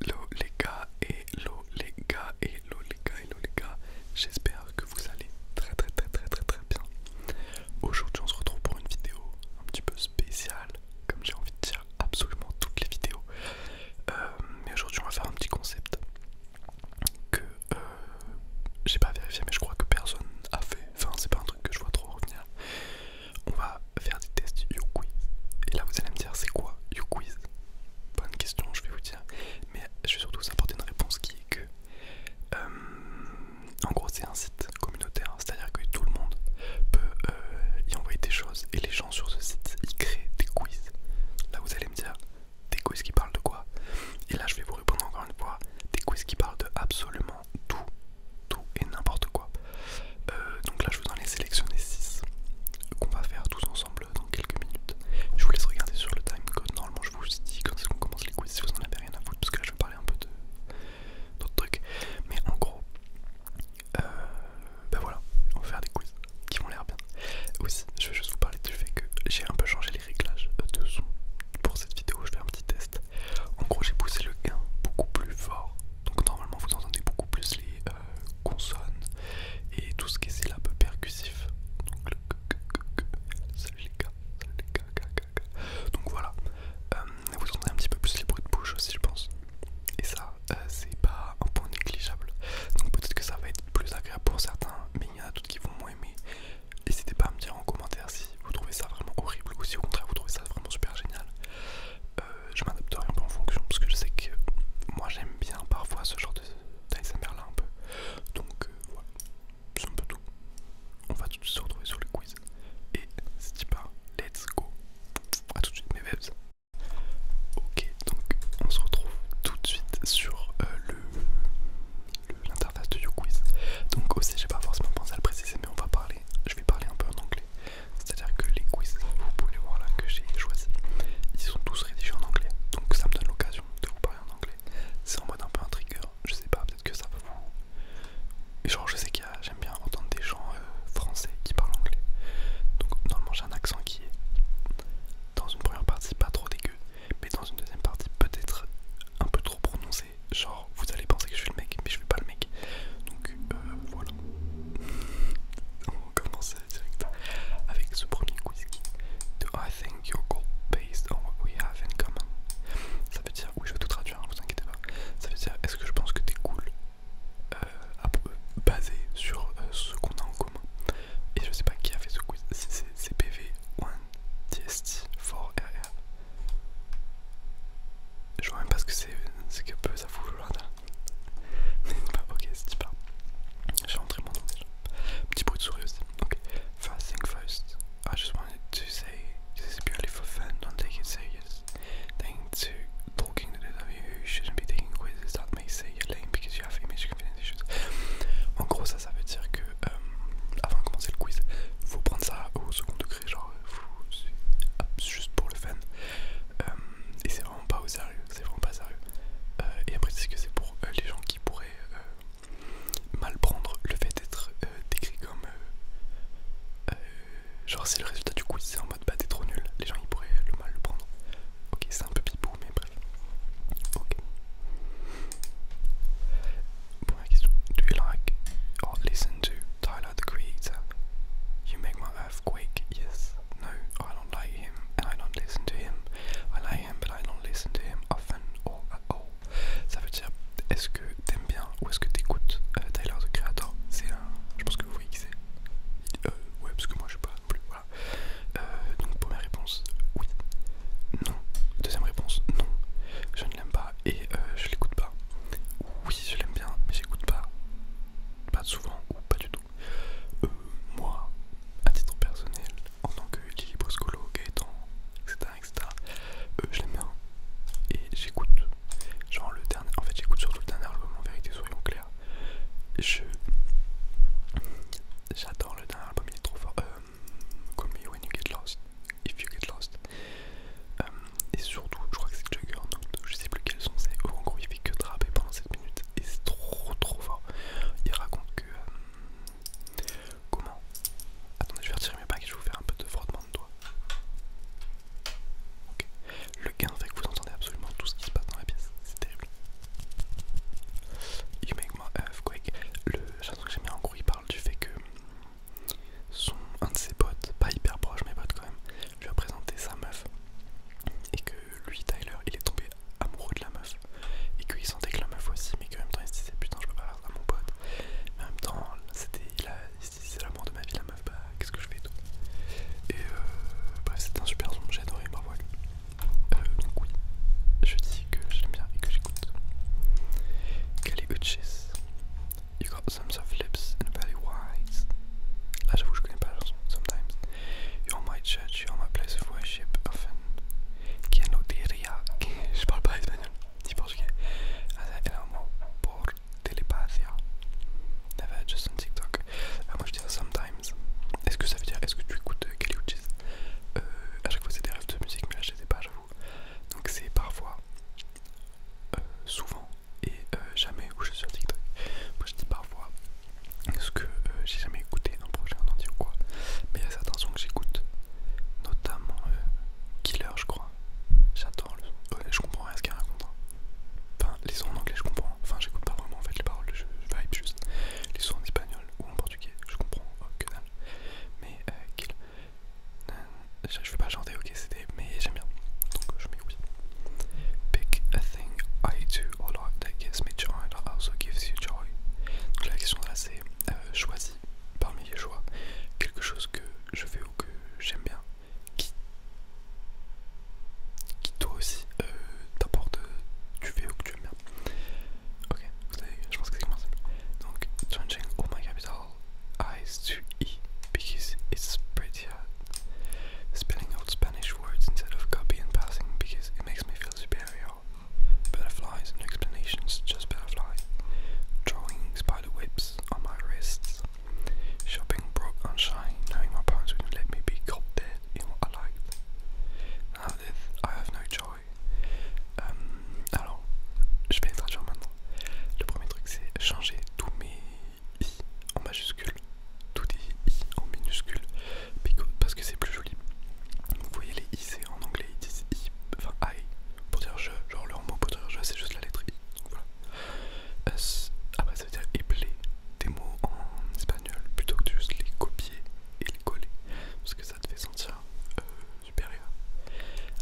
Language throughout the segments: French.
Hello les gars, hello les gars, hello les gars, hello les gars, j'espère que vous allez très très très très très très bien. Aujourd'hui on se retrouve pour une vidéo un petit peu spéciale, comme j'ai envie de dire absolument toutes les vidéos. Euh, mais aujourd'hui on va faire un petit concept que euh, j'ai pas vérifié mais je crois que personne a fait, enfin c'est pas un truc que je vois trop revenir on va faire des tests YouQuiz. Et là, vous allez me dire, c'est quoi YouQuiz Bonne question, je vais vous dire. Mais je vais surtout vous apporter une réponse qui est que, euh, en gros, c'est un site communautaire, c'est-à-dire que tout le monde peut euh, y envoyer des choses et les gens sur ce site y créent des quiz. Là, vous allez me dire, des quiz qui parlent de quoi Et là, je vais vous répondre encore une fois, des quiz qui parlent de absolument tout, tout et n'importe quoi. Euh, donc là, je vous en ai sélectionné 6 qu'on va faire tous ensemble dans quelques minutes. Je vous laisse regarder sur le time Normalement, je vous dis est-ce qu'on commence les quiz si vous en avez rien à foutre, parce que là, je vais parler un peu d'autres trucs. Mais en gros, euh, ben voilà, on va faire des quiz qui vont l'air bien. Aussi, je vais juste vous parler du fait que j'ai un peu changé les réglages de son pour cette vidéo. Je fais un petit test. En gros, j'ai poussé le gain beaucoup plus fort, donc normalement, vous entendez beaucoup plus les, euh, consonnes et tout ce qui est peu percussif. Donc, le Donc voilà, euh, vous entendrez un petit peu plus les bruits de bouche aussi, je pense. Et ça, euh, c'est pas un point négligeable. Donc peut-être que ça va être plus agréable pour certains, mais il y en a d'autres qui vont moins aimer. N'hésitez pas à me dire en commentaire si vous trouvez ça vraiment horrible ou si au contraire vous trouvez ça vraiment super génial. Euh, euh, je m'adapterai un peu en fonction parce que je sais que moi j'aime bien parfois ce genre d'ASMR là un peu. Donc euh, voilà, c'est un peu tout. On va tout de suite se retrouver sur le quiz. Et c'est pas, let's go. A tout de suite mes webs. Ok, donc on se retrouve tout de suite sur euh, le l'interface de YouQuiz. Donc aussi j'ai pas forcément pensé à le préciser mais on va parler, je vais parler un peu en anglais. C'est-à-dire que les quiz, vous pouvez voir là que j'ai choisi, ils sont tous rédigés en anglais. Donc ça me donne l'occasion de vous parler en anglais. C'est en mode un peu un trigger, je sais pas, peut-être que ça va vous... Genre je sais qu'il y a, j'aime bien entendre des gens euh, français qui parlent anglais. Donc normalement j'ai un accent qui est dans une première partie pas trop dégueu, mais dans une deuxième partie peut-être un peu trop prononcé. Genre vous allez penser que je suis le mec, mais je suis pas le mec. Donc euh, voilà. On avec ce premier quiz qui Do I think your goal based on what we have in common Ça veut dire, oui je vais tout traduire, ne hein, vous inquiétez pas. Ça veut dire, est-ce que je pense que t'es cool euh, euh, basé sur euh, ce qu'on a en commun Et je sais pas qui a fait ce quiz, c'est c'est pv 1DST4RR. Je vois même pas ce que c'est, c'est que Bah, ok, c'est super. J'ai rentré mon nom déjà. Petit bruit de souris aussi. Ok. First thing first, I just wanted to say this is for fun, don't take it serious. Thanks to talking to those of you shouldn't be taking quizzes that may say you're lame because you have image these issues. En gros, ça, ça veut dire que euh, avant de commencer le quiz, faut prendre ça au second degré, genre, juste pour le fun. Euh, et c'est vraiment pas au sérieux, c'est vraiment pas sérieux. Euh, et après, c'est que c'est pour euh, les gens qui pourraient euh, mal prendre le fait d'être décrit comme. genre, c'est le résultat du coup, c'est en mode bah t'es trop nul, les gens ils pourraient le mal le prendre. Ok, c'est un peu pipou, mais bref. Ok. la question. Do you like or listen to Tyler Creator? Earthquake, yes, no, I don't like him and I don't listen to him. I like him but I don't listen to him often or at all. Ça veut dire, est-ce que t'aimes bien ou est-ce que t'écoutes euh, Tyler the Creator C'est un. Je pense que vous voyez qui c'est. Euh, ouais, parce que moi je sais pas non plus, voilà. Euh, donc, première réponse, oui. Non. Deuxième réponse, non. Je ne l'aime pas et je l'écoute pas. Oui, je l'aime bien, mais j'écoute pas pas souvent ou pas du tout. Euh, moi, à titre personnel, en tant que Lily Broscolo, Gaëtan, etc., etc., euh, je l'aime bien et j'écoute. Genre, le dernier, en fait, j'écoute surtout le dernier album en vérité, soyons clairs. Je. J'adore le dernier album, il est trop fort. Euh, comme Call me when you get lost, if you get lost. et surtout, je crois que c'est Juggernaut, je sais plus quel son c'est. En gros, il fait que trapper pendant 7 minutes, et c'est trop trop fort. Il raconte que... Euh, comment Attendez, je vais retirer mes bagues et je vais vous faire un peu de frottement de doigts. ok Le gain fait que vous entendez absolument tout ce qui se passe dans la pièce, c'est terrible. You make my quick. Le chanson que j'ai mis en gros, il parle du fait que son un de ses potes, pas hyper proche mais potes quand même, lui a présenté sa meuf et que lui, Tyler, il est tombé amoureux de la meuf et qu'il sentait que la meuf aussi, mais qu'en même temps il se disait putain, je peux pas faire ça à mon pote, mais en même temps, c'était il, se disait la de ma vie, la meuf, bah qu'est-ce que je fais et tout. Et euh, bref, c'était un super son, j'ai adoré, bravo à euh, donc, oui, je dis que j'aime bien et que j'écoute. Kelly Uchis, You Got Some of Lips and a Belly Wise. Là, ah, j'avoue, je connais pas Sometimes. You're my church, you're my place of worship. Often, quien no diría? Je parle pas espagnol, ni portugais. As ah, el amor por telepathia. Never just on TikTok. Ah, moi je dis ça sometimes. Est-ce que ça veut dire, est-ce que tu écoutes euh, Kelly Caliuchis euh, À chaque fois c'est des rêves de musique, mais là je les ai pas, j'avoue. Donc c'est parfois, euh, souvent, et euh, jamais où je suis sur TikTok. Moi je dis parfois ce que euh, j'ai jamais écouté un projet en ou quoi, mais attention que j'écoute, notamment euh, Killer, je crois. J'adore le son. je comprends rien ce qu'il raconte. Hein. Enfin, les sons en anglais, je comprends. Enfin, j'écoute pas vraiment en fait les paroles, je, vibe juste. Les sons en espagnol ou en portugais, je comprends oh, dalle. Mais Killer... je, vais veux pas chanter, ok, c'était, mais j'aime bien. Donc je mets oui. Pick a thing I do or lot that gives me joy and also gives you joy. Donc la question là c'est euh, choisis parmi les choix quelque chose que je fais ou que j'aime bien qui, qui toi aussi euh, t'apporte tu fais ou que tu aimes bien. Ok, je pense que c'est commencé. Donc changing all my capital I's to E because it's pretty idea. Spelling out Spanish words instead of copy and passing because it makes me feel superior. Butterflies, no explanations, just butterfly. Drawing spider webs on my wrists. Shopping broke on shine, knowing my parents wouldn't let me be caught dead in what I liked. Now that I have no joy. Um, alors, je vais traduire maintenant. Le premier truc c'est changer tous mes i en majuscule tout est i en minuscule parce que c'est plus joli. Vous voyez les i en anglais ils disent i, enfin i pour dire je, genre leur mot pour dire je c'est juste la lettre i. Donc voilà. Ah, bah ça veut dire éblé. des mots en espagnol plutôt que de juste les copier et les coller parce que ça te fait sentir euh, supérieur.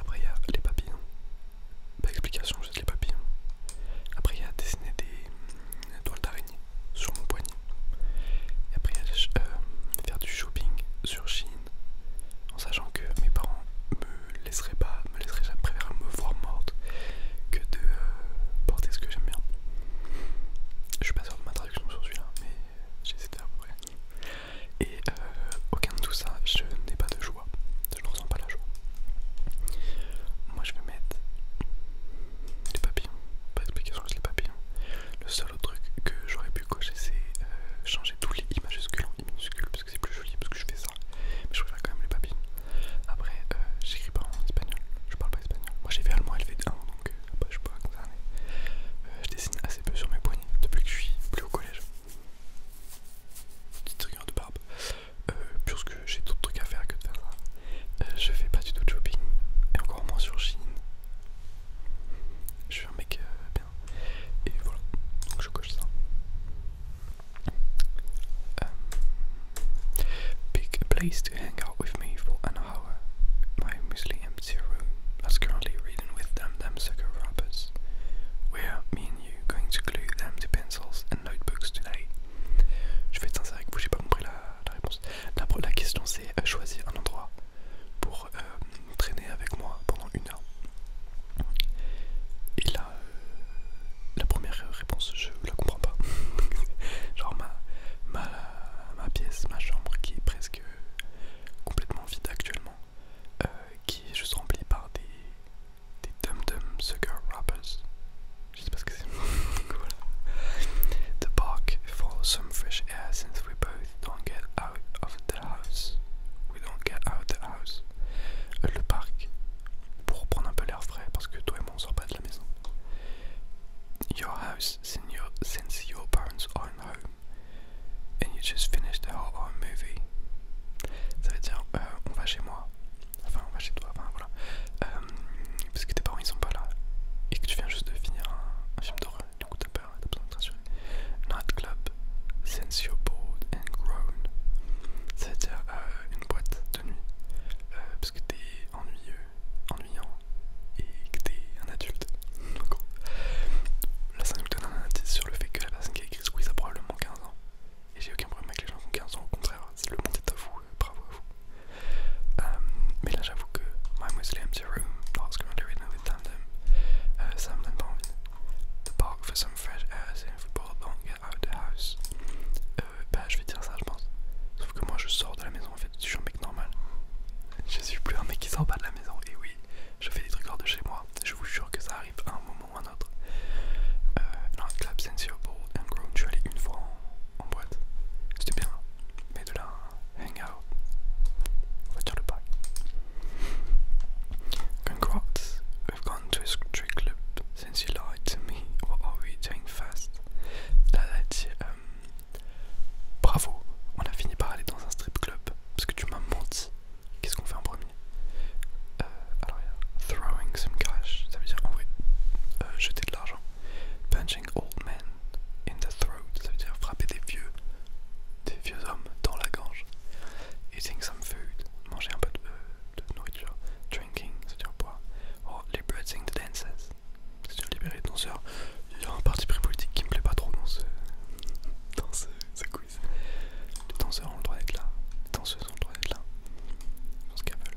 Après il y a les papillons. Pas d'explication juste les papillons. Après il y a dessiner des euh, toiles d'araignée sur mon poignet. Et après, euh, faire du shopping sur Chine en sachant que mes parents me laisseraient pas, me laisseraient jamais préférer me voir morte que de euh, porter ce que j'aime bien. Je suis pas sûr de ma traduction sur celui-là, mais j'essaie à peu près. Et euh, aucun de tout ça, je n'ai pas de joie. Je ne ressens pas la joie. Moi, je vais mettre les papillons, pas d'explication sur les papillons. Le seul autre truc que j'aurais pu cocher, c'est euh, changer tous les i majuscules en i minuscules parce que c'est plus joli, parce que je fais ça. Mais je préfère quand même les papillons. Après, euh, j'écris pas en espagnol, je parle pas espagnol. Moi j'ai fait allemand LV1, donc euh, je suis pas concerné. je dessine assez peu sur mes poignets depuis que je suis plus au collège. Petit truc de barbe. Euh, puisque j'ai d'autres trucs à faire que de faire ça. Euh, je fais pas du tout de shopping, et encore moins sur Chine. Je suis un mec euh, bien. Et voilà, donc je coche ça. pick a place to hang out with me for an hour. My mostly empty room I'm currently reading with them them sucker rappers. Where me and you going to glue them to pencils and notebooks today. Je vais être sincère avec vous, j'ai pas compris la la question c'est à euh, choisir un endroit pour euh, traîner avec moi pendant une heure. Et là, euh, la première réponse, je la comprends pas. Genre ma, pièce, ma chambre qui est presque complètement vide actuellement, qui est juste remplie par des dum-dum sugar rappers je sais pas ce que c'est. The park for some fresh air since we both don't get out of the house. We don't get out of the house. Euh, le parc pour prendre un peu l'air frais parce que toi et moi on sort pas de la maison. Your house since your, since your parents aren't home and you just finished our own movie. Ça veut dire euh, on va chez moi enfin on va chez toi, enfin voilà, euh, parce que tes parents ils sont pas là et que tu viens juste de finir un, film d'horreur, du coup t'as peur, t'as besoin de te rassurer. Nightclub, since Your bored and grown, c'est-à-dire euh, une boîte de nuit, euh, parce que t'es ennuyeux, ennuyant et que t'es un adulte. Donc, là ça nous donne un indice sur le fait que la personne qui a écrit ce a probablement 15 ans. Et j'ai aucun problème avec les gens qui ont 15 ans, au contraire, c'est le monde est à vous, bravo à vous. Um, mais là j'avoue que My Muslim to Room, that's currently written with tandem, uh, Sam and Bonvin. The park for some fresh air, c'est un don't get out of the house. Ben, bah je vais dire ça je pense. Sauf que moi je sors de la maison en fait, je suis un mec normal. Je suis plus un mec qui sort pas de la maison, et oui, je fais des trucs hors de chez moi, je vous jure que ça arrive à un moment ou à un autre. Dans non, clap and grown, je suis allé une fois en en boîte. C'était bien, mais de là, va voiture le pari. Congrats, we've gone to a strip club since you lied to me. What are we doing first? Là, elle a dit Bravo, on a fini par aller dans un strip club parce que tu m'as menti. Qu'est-ce qu'on fait en premier euh, Alors, il y a throwing some cash, ça veut dire envoyer, euh, jeter de l'argent Punching old men in the throat, ça veut dire frapper des vieux, des vieux hommes dans la gange. Eating some food, manger un peu euh, de, nourriture. Drinking, ça veut dire boire. Or liberating the dancers, c'est dire libérer les danseurs. Il y a un parti pris politique qui me plaît pas trop dans ce, dans ce, quiz. Les danseurs ont le droit d'être là, les danseuses ont le droit d'être là. Je pense qu'elles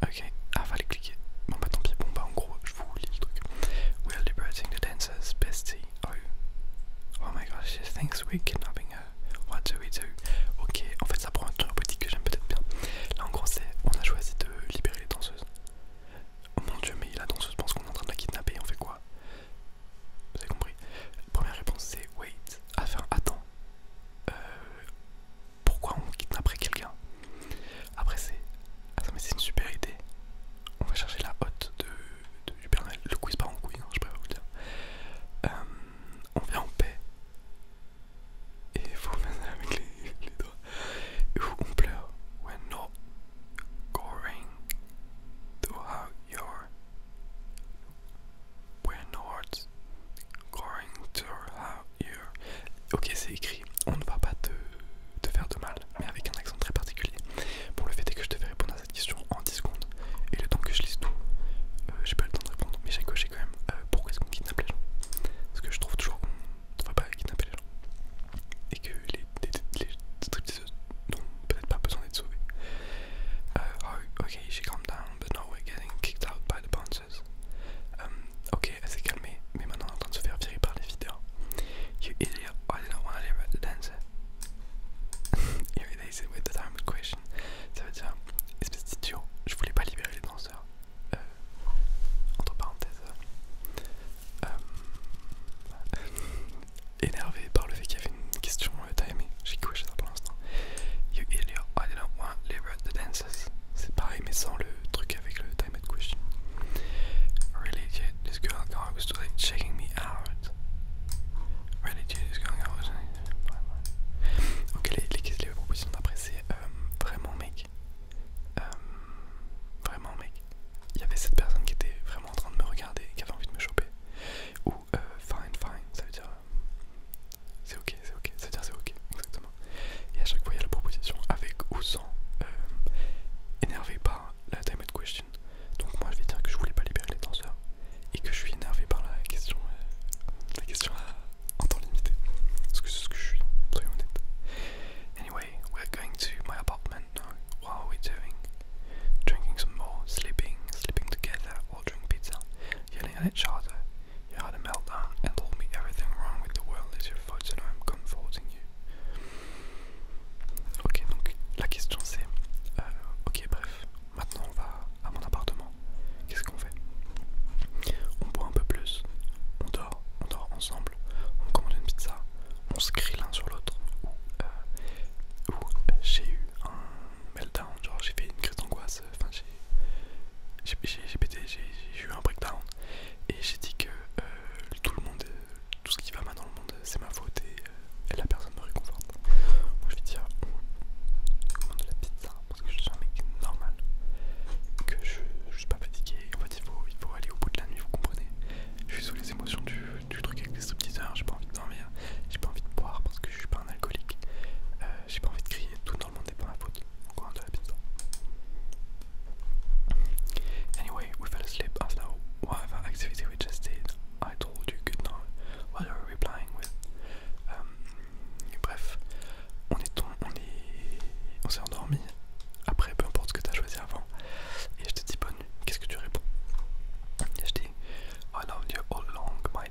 Ok, ah fallait cliquer. Bon bah tant pis, bon bah en gros je vous lis le truc. We are liberating the dancers, bestie. Oh. my gosh, she thinks we're kidnapping her. What do we do? Ok, en fait ça prend un petit que j'aime peut-être bien. Là en gros c'est, on a choisi de libérer les danseuses. Oh mon dieu, mais la danseuse pense qu'on est en train de la kidnapper, on fait quoi Vous avez compris Première réponse c'est wait. Ah, enfin, attends. Euh, pourquoi on kidnapperait quelqu'un Après c'est... Attends mais c'est une super idée. On va chercher la hotte de, du Bernal. Le quiz par en quiz, je préfère vous dire. Euh, on vient en paix. Et il faut avec les, doigts. Et on pleure. We're not going to have your going to have you. Ok, c'est écrit. On ne va pas te, faire de mal, mais avec un accent très particulier. Pour le fait que je devais répondre à cette question en 10 secondes. Et le temps que je lise tout, euh, j'ai pas le temps de répondre, mais j'ai coché quand même euh, pourquoi est-ce qu'on kidnappe les gens. Parce que je trouve toujours qu'on ne va pas kidnapper les gens. Et que les, trucs les n'ont peut-être pas besoin d'être sauvées. Euh, oh, ok, she calm down, but now we're getting kicked out by the band. Euh, ok, elle s'est calmée, mais maintenant elle est en train de se faire virer par les vidéos. You idiot, I didn't want to the dance. said, with the time question. Ça veut dire, espèce d'idiot, je voulais pas libérer les danseurs. Euh, entre parenthèses. Euh, énervé par le fait qu'il y avait une question timée, j'ai couché ça pour l'instant. You idiot, I didn't want to liberate the dance c'est pareil mais sans le truc avec le time at question. Really this girl checking me out. Really this girl Ok les, les, les propositions d'après c'est euh, vraiment mec. Euh, vraiment mec. Il y avait cette personne qui était vraiment en train de me regarder, qui avait envie de me choper. Ou euh, fine fine, ça veut dire c'est ok, c'est ok, c'est-à-dire c'est ok, exactement. Et à chaque fois, il y a la proposition avec ou sans, euh, énervé par la time question. Donc, moi, je vais dire que je voulais pas libérer les tenseurs et que je suis énervé par la question, euh, question à, euh, en temps limité. Parce que c'est ce que je suis, soyons honnêtes. Anyway, we're going to my apartment now. What are we doing? Drinking some more, sleeping, sleeping together, or drinking pizza, yelling at each other. You had a meltdown and told me everything wrong with the world is your so and I'm comforting you. Ok, donc la question c'est. Euh, ok, bref, maintenant on va à mon appartement. Qu'est-ce qu'on fait On boit un peu plus, on dort, on dort ensemble, on commande une pizza, on se crie l'un sur l'autre. euh, ou j'ai eu un meltdown, genre j'ai fait une crise d'angoisse j'ai pété, j'ai eu un breakdown et j'ai dit que euh, tout le monde, tout ce qui va mal dans le monde c'est ma faute et euh, la personne me réconforte. Moi je vais dire on de la pizza parce que je suis un mec normal, que je, suis pas fatigué, en fait il faut, aller au bout de la nuit, vous comprenez. Je suis sous les émotions du, truc avec les stripteaseurs, j'ai pas envie de dormir, j'ai pas envie de boire parce que je suis pas un alcoolique, euh, j'ai pas envie de crier tout tout le monde pas ma faute. de la pizza. Anyway, we fell asleep after whatever activity we just did. I told you good night What you we replying with. Um, bref, on est on est, on s'est endormi. Après, peu importe ce que t'as choisi avant. Et je te dis bonne nuit. Qu'est-ce que tu réponds? Et je dis I loved you all along, Hein,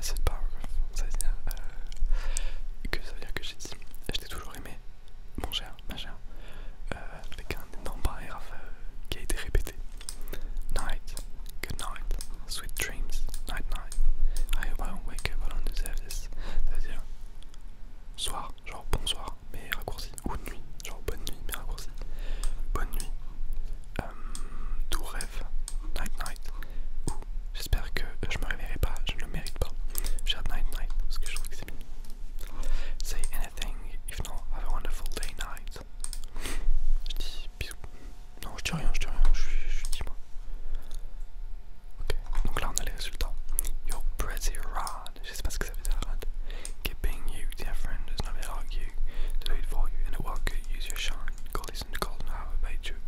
ça veut dire euh, que ça veut dire que j'ai dit je t'ai toujours aimé, mon cher, ma chère, euh, avec un énorme paragraphe euh, qui a été répété. Night, good night, sweet dreams, night night. I hope wake up, on don't deserve this. Ça veut dire soir, genre bonsoir, mais raccourci, ou nuit, genre bonne nuit, mais raccourci. Bonne nuit, euh, doux rêve, night night, J'espère que euh, je me réveillerai pas, je ne le mérite pas. J'ai night night parce que je trouve que c'est bien. Say anything, if not, have a wonderful day night. Je dis bisous. Non, je dis rien, je dis rien, je, suis je dis moi. Ok, donc là on a les résultats. You're pretty rad, je sais pas ce que ça veut dire rad. Keeping you, dear friend, does not argue. you. Do it for you, in a world use your shine. Call listen in the golden hour by joke.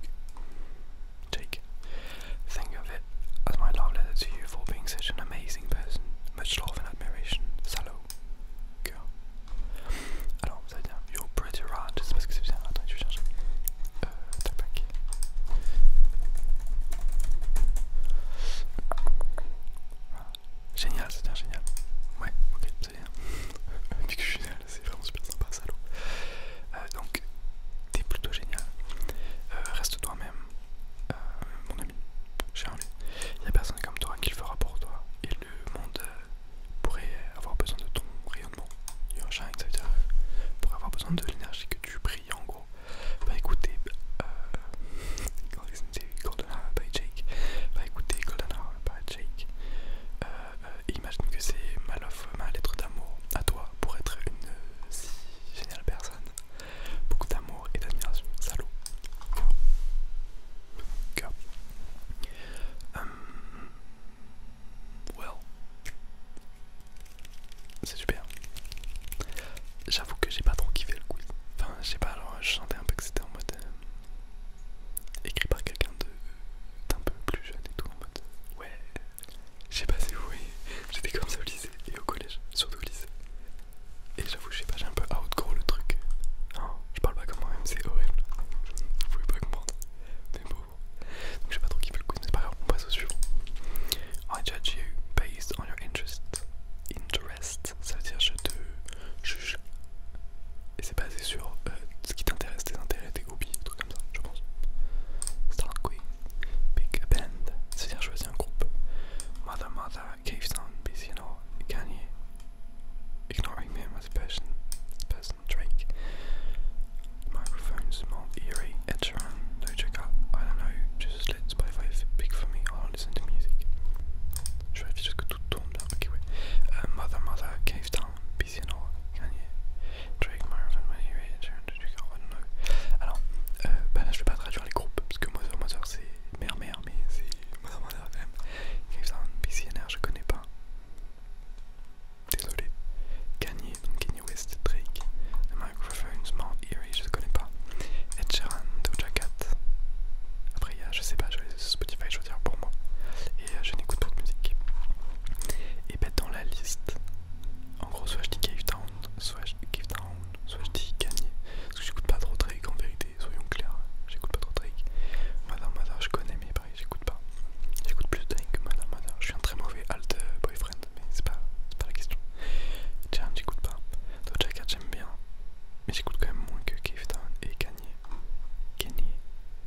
Jake. Think of it as my love letter to you for being such an amazing person. Much love and admiration. Salud. Alors, vous allez dire, yo, pretty rat, je sais que c'est bien, attends, je vais chercher. Génial, c'est bien, génial. Ouais, ok, c'est bien. Depuis que je c'est vraiment super sympa, salaud. Euh, donc, t'es plutôt génial. Euh, reste toi-même, euh, mon ami. Charlie, il n'y a personne comme toi qui le fera pour toi. Et le monde pourrait avoir besoin de ton rayonnement. Sunshine, ça veut dire pourrait avoir besoin de l'énergie que tu brilles en gros. Bah écoutez, euh, Golden Hour by Jake. Bah écoutez, Golden Jake. Euh, imagine que c'est ma lettre d'amour à toi pour être une si géniale personne. Beaucoup d'amour et d'admiration. Salut. Hum, well. C'est super. J'avoue que j'ai pas trop kiffé le quiz. Enfin, je pas, alors je sentais un peu que c'était en mode. Euh, écrit par quelqu'un d'un peu plus jeune et tout, en mode ouais. Je sais pas si vous voyez, j'étais comme ça au lycée et au collège, surtout au lycée. Et j'avoue, je sais pas, j'ai un peu outgrow le truc. Hein, je parle pas comme moi-même, c'est horrible. Vous pouvez pas comprendre. Mais bon. Donc je sais pas trop qui veut le coup, mais par pas on passe au suivant. I judge you based on your interest. Interest, ça veut dire je te juge. Et c'est basé sur euh, ce qui t'intéresse, tes intérêts, tes hobbies, truc comme ça, je pense. Star Queen, Big a dire Mother Mother, Cave Sound, BCNO, Kanye, Ignoring Me as Person, person Drake, Microphones, Mount Eerie, Ed Sheeran, Doja Cat, I don't know, just let Spotify pick for me, I don't listen to music. Je vérifie juste que ok, ouais. Euh, mother Mother, Cave Town, Alors, je euh, bah je vais pas traduire les groupes parce que moi Mother c'est mère mère, mais c'est Mother Mother quand même. Cavesound, BCNR, je connais pas. Désolé. Kanye, West, Drake, The Microphone, small Eerie, je connais pas. Ed Sheeran, Doja Cat. Après, il y a, je sais pas, je vais sur Spotify choisir pour moi et euh, je n'écoute pas de musique. Et ben dans la liste, en gros soit je dis Cave Town, soit je dis je Gagné. Parce que j'écoute pas trop Drake en vérité, soyons clairs, j'écoute pas trop Drake. Madame Madame je connais mais pareil j'écoute pas. J'écoute plus Drake que Madame Madame. Je suis un très mauvais alt euh, boyfriend mais c'est pas, pas la question. Tiens, j'écoute pas. Doja j'aime bien. Mais j'écoute quand même moins que Cave Town et Gagné. Kanye.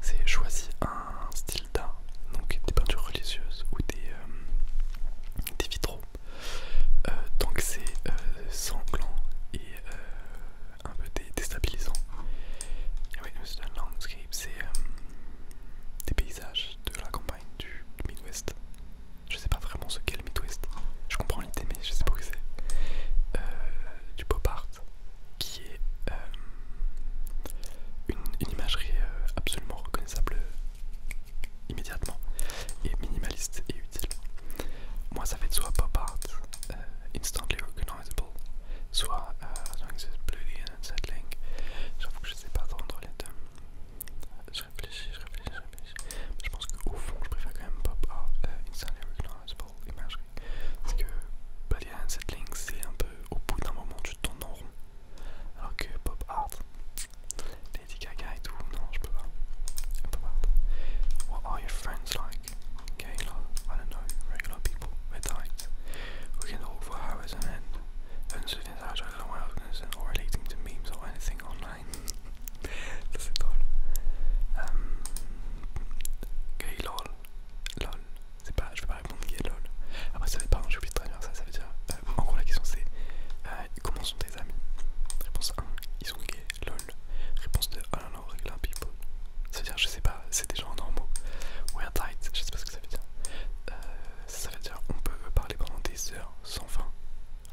C'est choisi un style d'art, donc des peintures religieuses ou des, euh, vitraux, Donc, euh, c'est euh, sanglant et un peu déstabilisant. Oui, c'est landscape, c'est des paysages de la campagne du Midwest. Je sais pas vraiment ce qu'est le Midwest. Je comprends l'idée, mais je sais pas que c'est. du pop art, qui est euh, une, imagerie euh, absolument reconnaissable euh, immédiatement et minimaliste et utile. Moi ça fait soit pop art, instantly recognizable, soit bloody and unsettling. J'avoue que je sais pas trop entre les deux. Je réfléchis, je réfléchis, je réfléchis. Je pense qu'au fond je préfère quand même pop art, instantly recognizable Parce que Balea and Settling, c'est un peu au bout d'un moment, tu tournes en rond. Alors que Pop Art, Lady Gaga et tout, non, What are your friends like? Gay love, I don't know, regular people, red eyes. We can all for hours on end. Uncertain as I don't know what else or relating to memes or anything online. Ça c'est drôle. gay lol. c'est pas, je peux pas répondre gay lol. Après ça, veut dire, pardon, j'ai oublié de traduire ça, ça veut dire, euh, en gros la question c'est, euh, comment sont tes amis Réponse 1, ils sont gays, lol. Réponse 2, oh non non, regular people. Ça veut dire, je sais pas, c'est des gens normaux. We're tight, je sais pas ce que ça veut dire. Euh, ça, veut dire, on peut parler pendant des heures sans fin.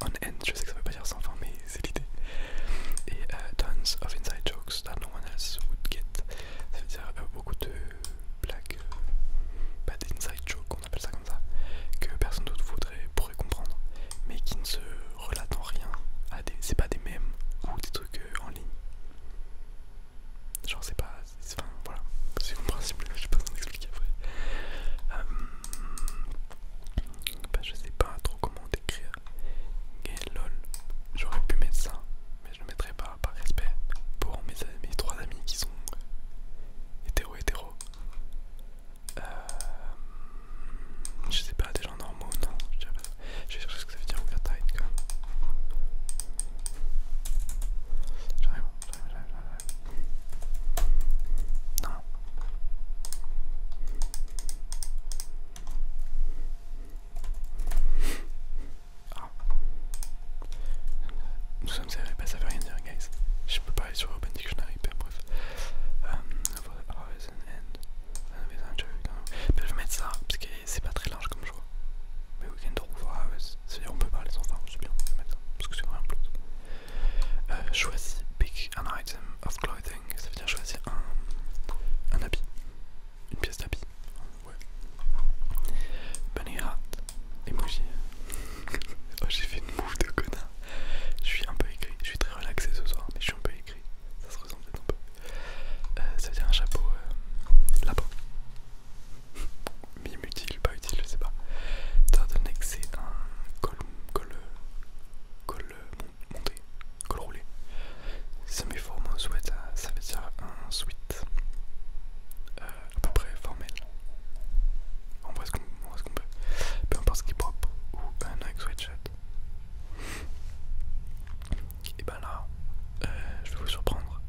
On end, je sais que ça veut pas dire sans fin, mais c'est l'idée. Et tons of inside jokes that no one else would get. Ça veut dire euh, beaucoup de blagues, euh, pas inside jokes, on appelle ça comme ça, que personne d'autre voudrait, pourrait comprendre, mais qui ne se relatent en rien. C'est pas des mèmes ou des trucs euh, en ligne. Genre, c'est pas. Enfin, voilà, c'est mon principe, je sais pas expliquer après. Bah, je sais pas trop comment décrire. Et lol, j'aurais pu mettre ça mais je le mettrai pas par respect pour mes, mes trois amis qui sont hétéro hétéro. Euh, je sais pas, des gens normaux, non, je pas. vais chercher ce que ça veut dire tight quand même. J'arrive, j'arrive, j'arrive, j'arrive. Non. Ah. Nous sommes serrés, bah ça veut rien dire, guys. Je peux pas aller sur Open Dictionary, ben bref. the hours and ben, je vais mettre ça, parce que c'est pas très large comme choix. Mais we can draw for hours. cest dire on peut parler sans fin, c'est bien, je vais mettre ça, parce que c'est vraiment plus. Euh, choisis pick an item of clothing, ça veut dire choisir un, un habit. Une pièce d'habit. Ouais. Bunny hat. Emoji. oh, j'ai fait une move de connard. Je suis un peu écrit. Je suis très relaxé ce soir, mais je suis un peu écrit. Ça se ressemble peut-être un peu. Euh, ça veut dire un chapeau euh, là-bas. Mime utile, pas utile, je sais pas. Turtleneck, c'est un col, col, col euh, monté col roulé. Si met forme un sweat, ça veut dire un sweat à peu près formel. On voit ce qu'on peut, peut. Peu importe ce qui est propre ou un sweat sweatshirt. Et ben là, euh, je vais vous surprendre.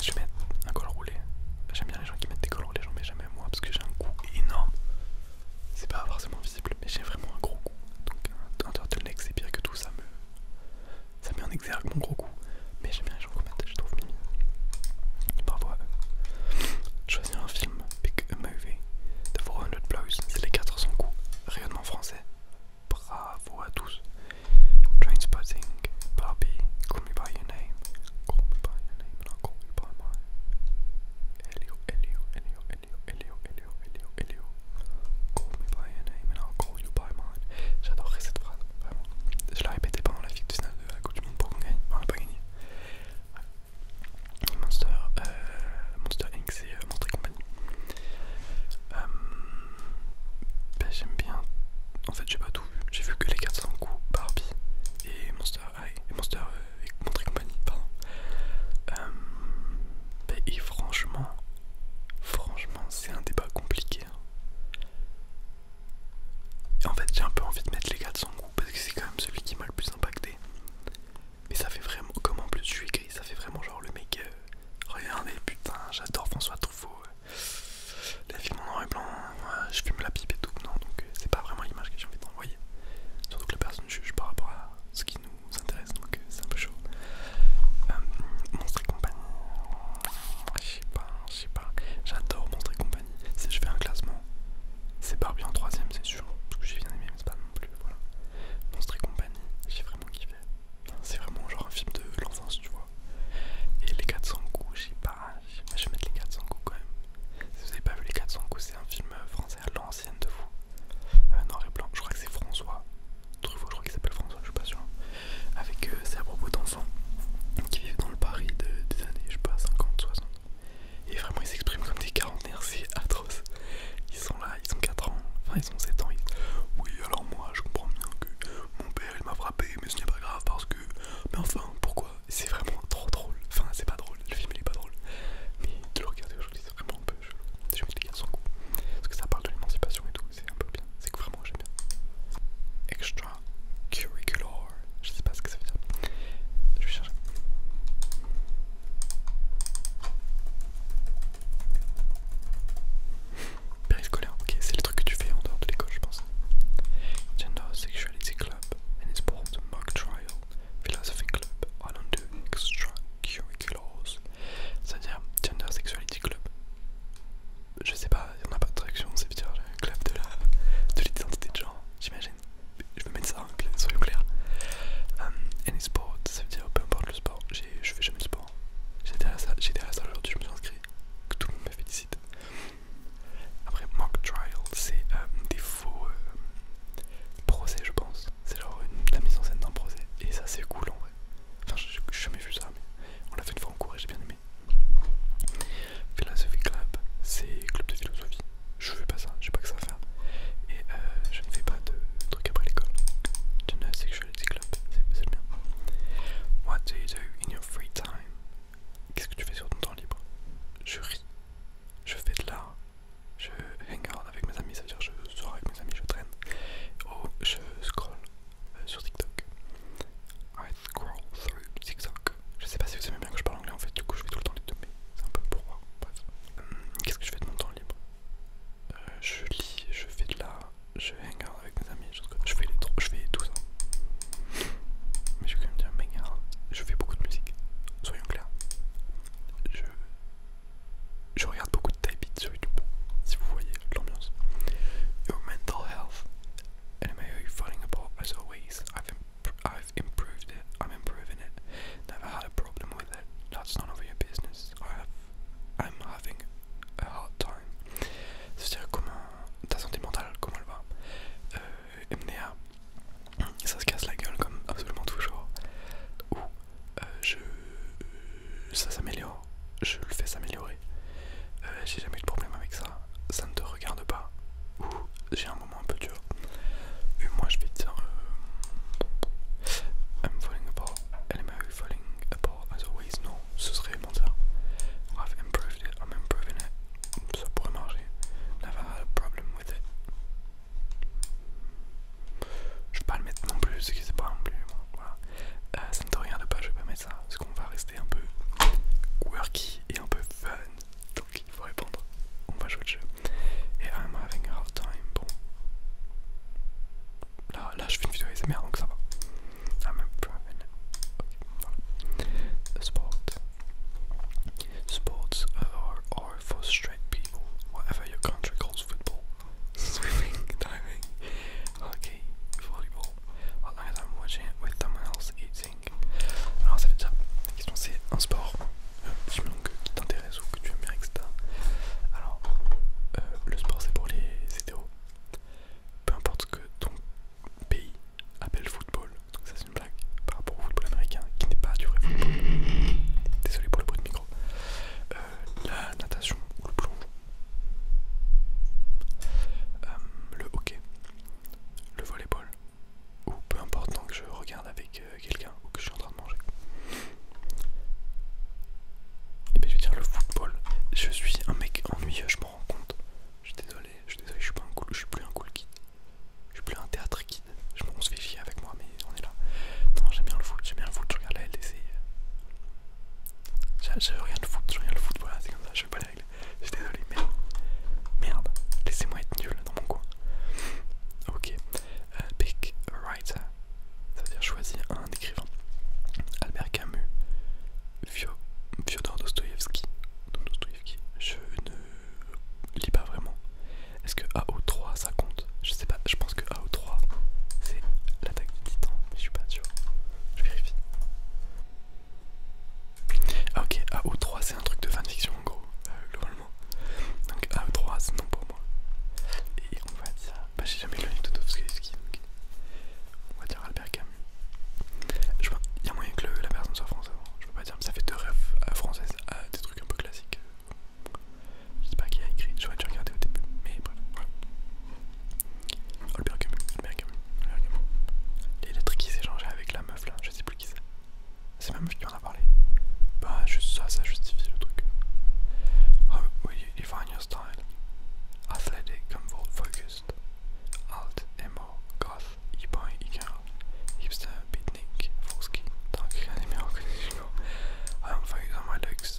Je vais mettre un col roulé. J'aime bien les gens qui mettent des cols roulés, j'en mets jamais moi parce que j'ai un goût énorme. C'est pas forcément visible, mais j'ai vraiment un gros goût. Donc un turtleneck c'est pire que tout ça me, ça met en exergue mon gros goût, Mais j'aime bien les gens qui je trouve mimi. Bravo à eux. Choisir un film, pick a movie. The 400 Blows, c'est les 400 coups. Rayonnement français. Bravo à tous. Trainspotting, Barbie, Call Me By Your Name. Call Me By Your Name, not Call Me By Mine. Elio, Elio, Elio, Elio, Elio, Léo, Elio, Léo Call me by your name and I'll call you by mine. J'adorerais cette phrase, vraiment. Je la répétais pendant la finale de la Coupe du Monde pour qu'on gagne. On n'a pas gagné. Ouais. Monster, euh, Monster Inc. et euh, Monster Company. Euh, ben, J'aime bien. En fait, j'ai pas tout vu. J'ai vu que les 400 coups Barbie et Monster High. Et Monster euh, et Monster Company, pardon. Euh, ben, et franchement, Franchement, c'est un débat compliqué. Hein. Et en fait, j'ai un peu envie de mettre les gars de son groupe parce que c'est quand même celui qui m'a le plus impacté. Mais ça fait vraiment, comme en plus je suis gris, ça fait vraiment genre le mec. Euh, regardez, putain, j'adore François Truffaut. Euh. la film en noir et blanc, euh, je fume la pipe et tout. Non, donc c'est pas vraiment l'image que j'ai envie d'envoyer. Surtout que la personne juge par rapport à ce qui nous vous intéresse, donc euh, c'est un peu chaud. Euh, Monstre et compagnie, je sais pas, je sais pas, j'adore Monstre et compagnie. Si je fais un classement, c'est Barbie en troisième, c'est sûr, parce que j'ai bien aimé, mais c'est pas non plus. Voilà, Monstre et compagnie, j'ai vraiment kiffé. C'est vraiment genre un film de l'enfance, tu vois. Et les 400 coups, je sais pas, je vais mettre les 400 coups quand même. Si vous avez pas vu les 400 coups, c'est un film euh, français à l'ancienne de vous. noir et blanc, je crois que c'est François Truffaut, je crois qu'il s'appelle François, je suis pas sûr. Avec, c'est euh, à propos d'enfants qui vivent dans le Paris de, des années, je sais pas, 50, 60. Et vraiment, ils s'expriment comme des quarantenaire, c'est atroce. Ils sont là, ils ont 4 ans, enfin ils ont 7 ans. Oui, alors moi, je comprends bien que mon père il m'a frappé, mais ce n'est pas grave parce que. Mais enfin, pourquoi C'est vraiment trop drôle. Enfin, c'est pas drôle, le film il est pas drôle. Mais de le regarder aujourd'hui, c'est vraiment un peu chelou. J'ai mis les son son Parce que ça parle de l'émancipation et tout c'est un peu bien. C'est que vraiment j'aime bien. Extra curricular, je sais pas ce que ça veut dire. Je vais chercher. Périscolaire, ok, c'est le truc que tu fais en dehors de l'école, je pense. Gender Sexuality Club, and it's called Mock Trial Philosophy Club. I don't do extracurriculars c'est-à-dire Gender Sexuality Club. Je sais pas, il n'y a pas de traduction, c'est veut dire club de l'identité de, genre, j'imagine. Je vais mettre ça, soyons clairs. Euh, any sport, ça veut dire peu importe le sport, je fais jamais de sport. j'ai J'étais à la salle, jour aujourd'hui, je me suis inscrit, que tout le monde me félicite. Après, mock trial, c'est euh, des faux euh, procès, je pense. C'est la mise en scène d'un procès, et ça c'est cool en vrai. Enfin, j'ai jamais vu ça, mais on l'a fait une fois en cours et j'ai bien aimé. Philosophy Club, c'est club de philosophie. Je fais pas ça, je sais pas que ça à faire. Et euh, je ne fais pas de trucs après l'école. fais des Club, c'est bien. What do you do in your free time? Qu'est-ce que tu fais sur ton temps libre? Je ris, je fais de l'art, je hang out avec mes amis, c'est-à-dire je sors avec mes amis, je traîne, oh, je scroll, euh, sur TikTok. Ah, I scroll through TikTok. Je sais pas si vous aimez bien que je parle anglais en fait, du coup je fais tout le temps les deux, mais c'est un peu pour moi. Hum, qu'est-ce que je fais de mon temps libre euh, Je lis, je fais de la. Je hang avec mes amis, je, fais les trucs, je fais tout ça. Mais je vais quand même dire, mais je fais beaucoup de musique, soyons clairs. Je je regarde beaucoup de type beats sur YouTube, si vous voyez l'ambiance. Your mental health, and may you falling apart as always. I've, I've improved it, I'm improving it. Never had a problem with it. That's none of your business. I have, I'm having a hard time. C'est-à-dire comment ta santé mentale, comment elle va euh, ça se casse la gueule comme absolument toujours. Ou euh, je, ça s'améliore je le fais s'améliorer. Euh, j'ai jamais eu de problème avec ça, ça ne te regarde pas. Ou j'ai un moment un peu dur. Et moi je vais dire euh, I'm falling apart. And I'm falling apart as always. Non, ce serait mentir. I've improved it, I'm improving it. Ça pourrait marcher. Never had a problem with it. Je vais pas le mettre non plus, parce que c'est pas non plus. Voilà. Euh, ça ne te regarde pas, je vais pas mettre ça parce qu'on va rester un peu quirky et un peu fun. Donc il faut répondre. On va jouer le jeu. Et I'm having a hard time. Bon. Là, là je fais une vidéo merde, donc ça va. I'm a private. Ok, voilà. Sports are for straight people. Whatever your country calls football. Swimming, diving. Ok, volleyball, as oh, I'm watching with Alors ça fait déjà. la question c'est un sport, un petit que qui t'intéresse ou que tu aimes bien, etc. Alors, euh, le sport c'est pour les hétéros. Peu importe ce que ton pays appelle football, donc ça c'est une blague par rapport au football américain qui n'est pas du vrai football. Désolé pour le bruit de micro. Euh, la natation ou le plongeon, euh, le hockey, le volleyball, ou peu importe tant que je regarde avec euh, quelqu'un ou que je suis en train de manger. Et eh puis ben, je vais dire le football. Je suis un mec ennuyeux, je m'en rends compte. Je suis désolé, je suis désolé, je suis pas un cool, je suis plus un cool kid. Je suis plus un théâtre kid. Je, on se avec moi, mais on est là. Non, j'aime bien le foot, j'aime bien le foot, je regarde la LDC. Je, rien rien de foot, je rien de foot, voilà, c'est comme ça, je veux pas les règles. Je suis désolé, merde. Merde, laissez-moi être nul dans mon coin. Ok, euh, pick writer, ça veut dire choisir un écrivain. Albert Camus, Fio, Fyodor Dostoevsky. je ne lis pas vraiment. Est-ce que AO3 ça compte Je sais pas, je pense que AO3 c'est l'attaque du titan, mais je suis pas sûr. Je vérifie. Ah ok, AO3 c'est un truc de fanfiction en gros, euh, globalement. Donc AO3 c'est non pour moi. Et on va dire... Bah j'ai jamais lu Totowski, donc on va dire Albert Camus. Je vois, il y a moyen que la personne soit française, je peux pas dire, mais ça fait deux rêves euh, françaises à euh, des trucs un peu classiques. Je sais pas qui a écrit, j'aurais dû regarder au début, mais bref, voilà. Il y a Les lettres qui s'échangeaient avec la meuf là, je sais plus qui c'est. C'est ma meuf qui en a parlé. Bah, juste ça, ça justifie le truc. Oh, will you define your style? Athletic, comfort, focused. Alt, emo, goth, e-boy, e-girl, hipster, beatnik, foreskin, dark, animé, I I'm focused on my looks,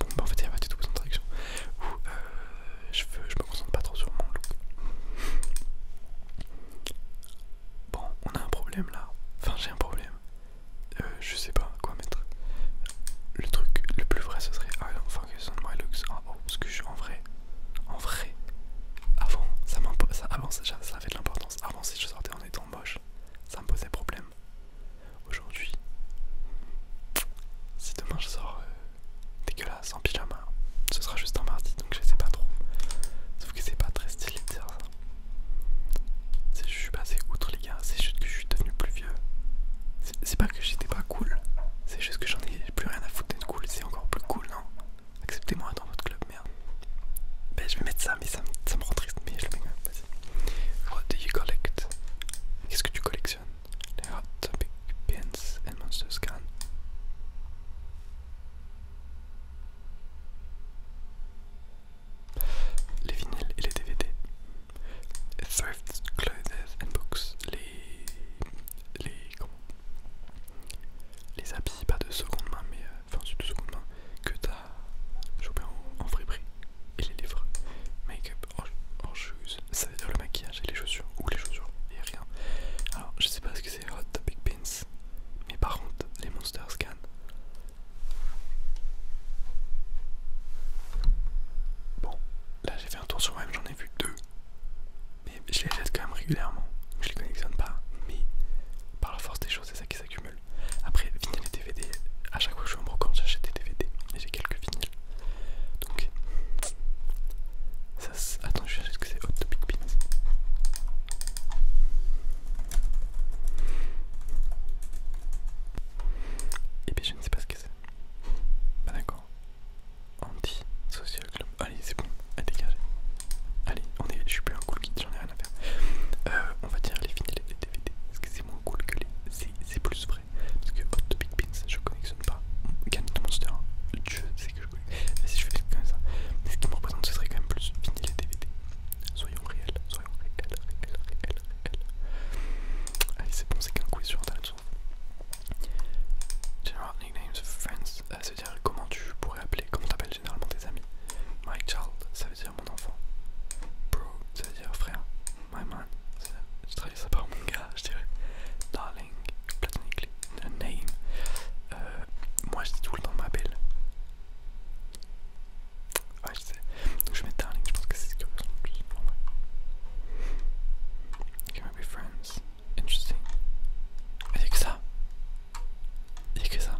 Bon, bah en fait, il n'y a pas du tout besoin de Ou euh, je, je me concentre pas trop sur mon look. Bon, on a un problème là. Enfin, j'ai un problème. Euh, je sais pas quoi mettre. Le truc le plus vrai, ce serait I don't on my looks. parce que je suis en vrai. En vrai. Avant, ça ça Avant, ça, ça avait de l'importance. Avant, si je sortais en étant moche, ça me posait problème. Aujourd'hui, si demain je sors euh, dégueulasse en pyjama. Ce sera juste en mardi donc je sais pas trop. Sauf que c'est pas très stylé de dire ça. Je suis passé outre les gars, c'est juste que je suis devenu plus vieux. C'est pas que j'étais pas cool, c'est juste que j'en ai plus rien à foutre d'être cool, c'est encore plus cool, non Acceptez-moi dans votre club, merde. Ben je vais mettre ça, mais ça me, rend triste, mais je le mets quand même, What do you collect Qu'est-ce que tu collectionnes les Hot Topic Pins and Monster Scan. Les vinyles et les DVD. thrift clothes and books. Les. Les. Comment Les habits, pas de seconde main, mais. Euh, enfin, de seconde main que t'as chopé en, en Et les livres. Make-up en ça veut dire le maquillage et les chaussures, ou les chaussures et rien. Alors, je sais pas ce que c'est Hot Topic Pins, mais par contre, les Monsters Scan. Bon, là j'ai fait un tour sur moi j'en ai vu deux, mais je les achète quand même régulièrement, je les connexionne pas, mais par la force des choses, c'est ça qui s'accumule. Après, vinyles et DVD, à chaque fois que je suis en brocante, j'achète des DVD, et j'ai quelques vinyles donc, ça attends, je vais chercher ce que c'est Hot Topic Pins. Et puis je ne sais pas ce que c'est. Bah, d'accord. Anti-social club. Allez, c'est bon, à dégager. Allez, on est, je suis plus un cool kid, j'en ai rien à faire. Euh, on va dire les vinyles les DVD. Parce que c'est moins cool que les. C'est plus vrai. Parce que de Big Pins, je connexionne pas. Canton Monster, le Dieu c'est que je connais. Mais si je fais comme ça, ce qui me représente, ce serait quand même plus vinyle et DVD. Soyons réels, soyons réels, réels, réels, réels. Allez, c'est bon, c'est qu'un quiz sur internet. General Nicknames of Friends, euh, ça veut dire comment tu pourrais appeler, comment t'appelles généralement tes amis. My child, ça veut dire mon enfant. Bro, ça veut dire frère. My man, ça veut dire, je travaille ça par mon gars je dirais. Darling, le name. Euh, moi je dis tout le temps ma belle. Ouais, je sais. Donc je vais mettre Darling, je pense que c'est ce que je veux. plus. Can we be friends? Interesting. Il n'y que ça. Il n'y que ça.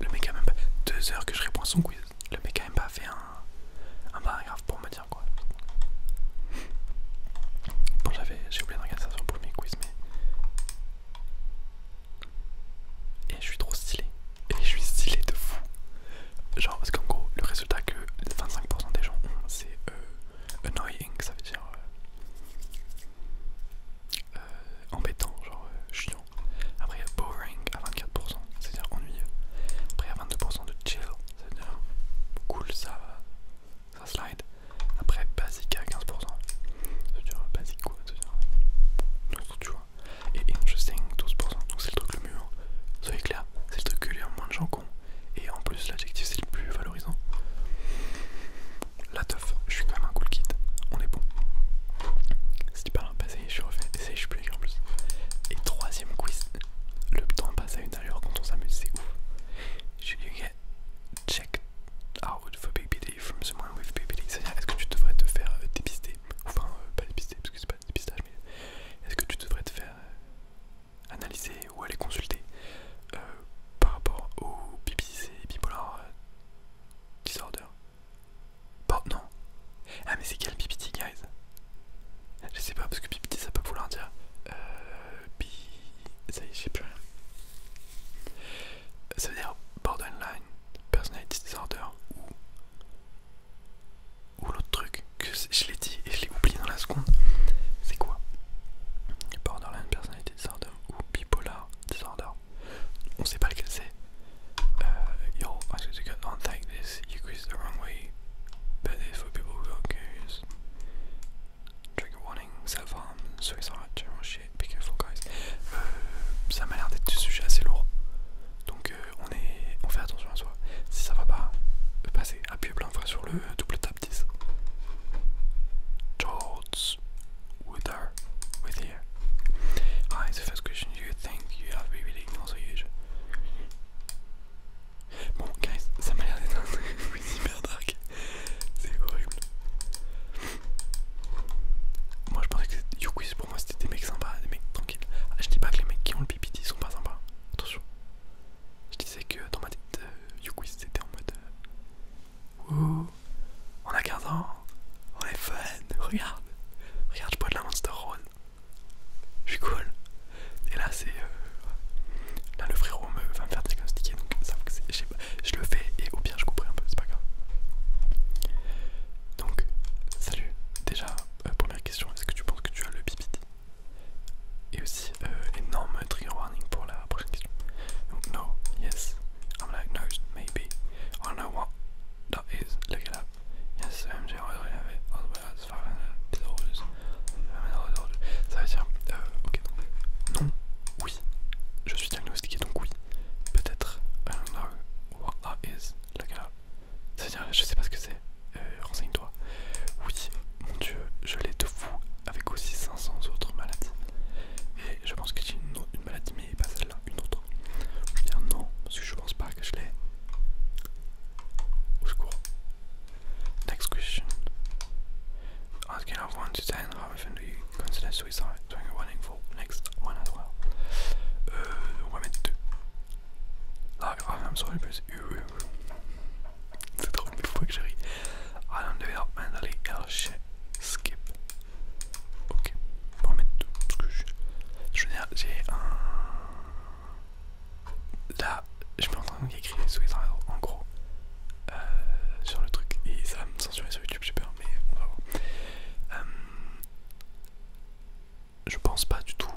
Le mec a même pas. Deux heures que je réponds à son quiz. Le mec a même pas fait un un, ah paragraphe bah, pour me dire quoi. Bon, j'avais j'ai oublié de regarder ça sur le premier quiz, mais. Et je suis trop stylé. Et je suis stylé de fou. Genre, parce qu'en gros, le résultat que 25% des gens ont, c'est euh, annoying, ça veut dire. Euh, euh, embêtant, genre chiant. Après, il y a boring à 24%, c'est-à-dire ennuyeux. Après, il y a 22% de chill, c'est cool ça, slide. Après, basique à 15%, c'est-à-dire basique quoi, c'est-à-dire, tu vois, et interesting 12%, donc c'est le truc le mieux, hein. soyez clair, c'est le truc que les moins de gens con, et en plus, l'adjectif c'est le plus valorisant. La teuf, je suis quand même un cool kit. on est bon. Si tu parles, je suis refait, je suis plus en plus. Et troisième quiz, le temps passe à une alors, quand on s'amuse, c'est ouf. Je you get check out for BPD from someone with BPD C'est-à-dire, est-ce que tu devrais te faire euh, dépister Enfin, euh, pas dépister parce que c'est pas dépistage, mais euh, est-ce que tu devrais te faire analyser ou aller consulter par rapport au et bipolar disorder Bon, bah, non. Ah, mais c'est quel BPD, guys je sais pas parce que pipiti ça peut vouloir dire. Euh, Ça y est, je sais plus rien. Ça veut dire borderline, personality disorder ou, ou l'autre truc que je l'ai dit et je l'ai oublié dans la seconde. C'est quoi Borderline, personality disorder ou bipolar disorder. On sait pas lequel c'est. Euh, yo, I should this, you quiz the wrong way. But Trigger warning, self-harm, suicide, general shit, be careful guys. Euh, ça m'a l'air d'être du sujet assez lourd. Donc euh, on, est, on fait attention à soi. Si ça va pas, euh, passez, appuyez plein de sur le double tap 10. Hi, the first question do you think you have been also huge? Bon guys, ça m'a l'air d'être un truc hyper dark. C'est horrible. Moi je pensais que YouQuiz pour moi c'était des mecs sympas, des mecs tranquilles. Ah, je dis pas que les mecs qui ont le pipiti sont pas sympas. Attention. Je disais que dans ma tête, euh, c'était en mode... Euh, ouh on a 15 ans, on est fun, regarde. Regarde, je bois de la Monster Roll je suis cool. Et là, c'est. Euh, là, le frérot me, va me faire diagnostiquer, donc ça que je le fais et au pire, je comprends un peu, c'est pas grave. Donc, salut. Déjà, euh, première question est-ce que tu penses que tu as le BPD Et aussi, euh, énorme trigger warning pour la prochaine question. Donc, no, yes, I'm like, no, maybe, I don't know what that is, look it up. Yes, I'm as well ça veut dire, euh, non, oui, je suis diagnostiqué donc oui, peut-être, I don't know what that is, la gars, ça veut dire, je sais pas ce que c'est, euh, renseigne-toi, oui, mon dieu, je l'ai de fou, avec aussi 500 autres maladies, et je pense que j'ai une, autre maladie, mais pas celle-là, une autre, ou bien non, parce que je pense pas que je l'ai, au secours, Next question. On a 1 to 10, how often do you consider suicide during a running for next one as well? Euh, on va 2. Là, I'm sorry, but euh, C'est trop mille fois I don't develop oh, Ok, on va mettre 2. Parce que je. Uh, je veux dire, j'ai là, je me en train d'écrire en gros euh, sur le truc et ça va me censurer sur YouTube, j'ai peur, mais on va voir. Euh, je pense pas du tout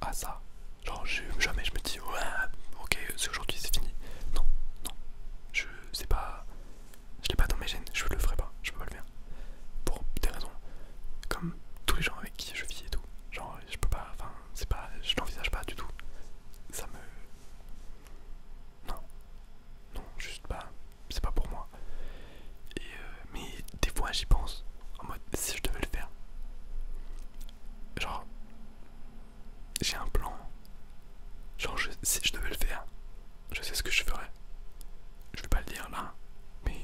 à ça. Genre, jamais je me dis, ouais, ok, c'est aujourd'hui, c'est fini. Non, non, je sais pas, je l'ai pas dans mes gènes, je le ferai pas, je peux pas le faire. Pour des raisons, comme tous les gens avec qui je vis et tout. Genre, je peux pas, enfin, c'est pas, je l'envisage pas du tout. Ça me, non, non, juste pas, c'est pas pour moi. Et euh, mais des fois j'y pense en mode si je devais le faire, genre j'ai un plan, genre si je devais le faire, je sais ce que je ferais. Je vais pas le dire là, mais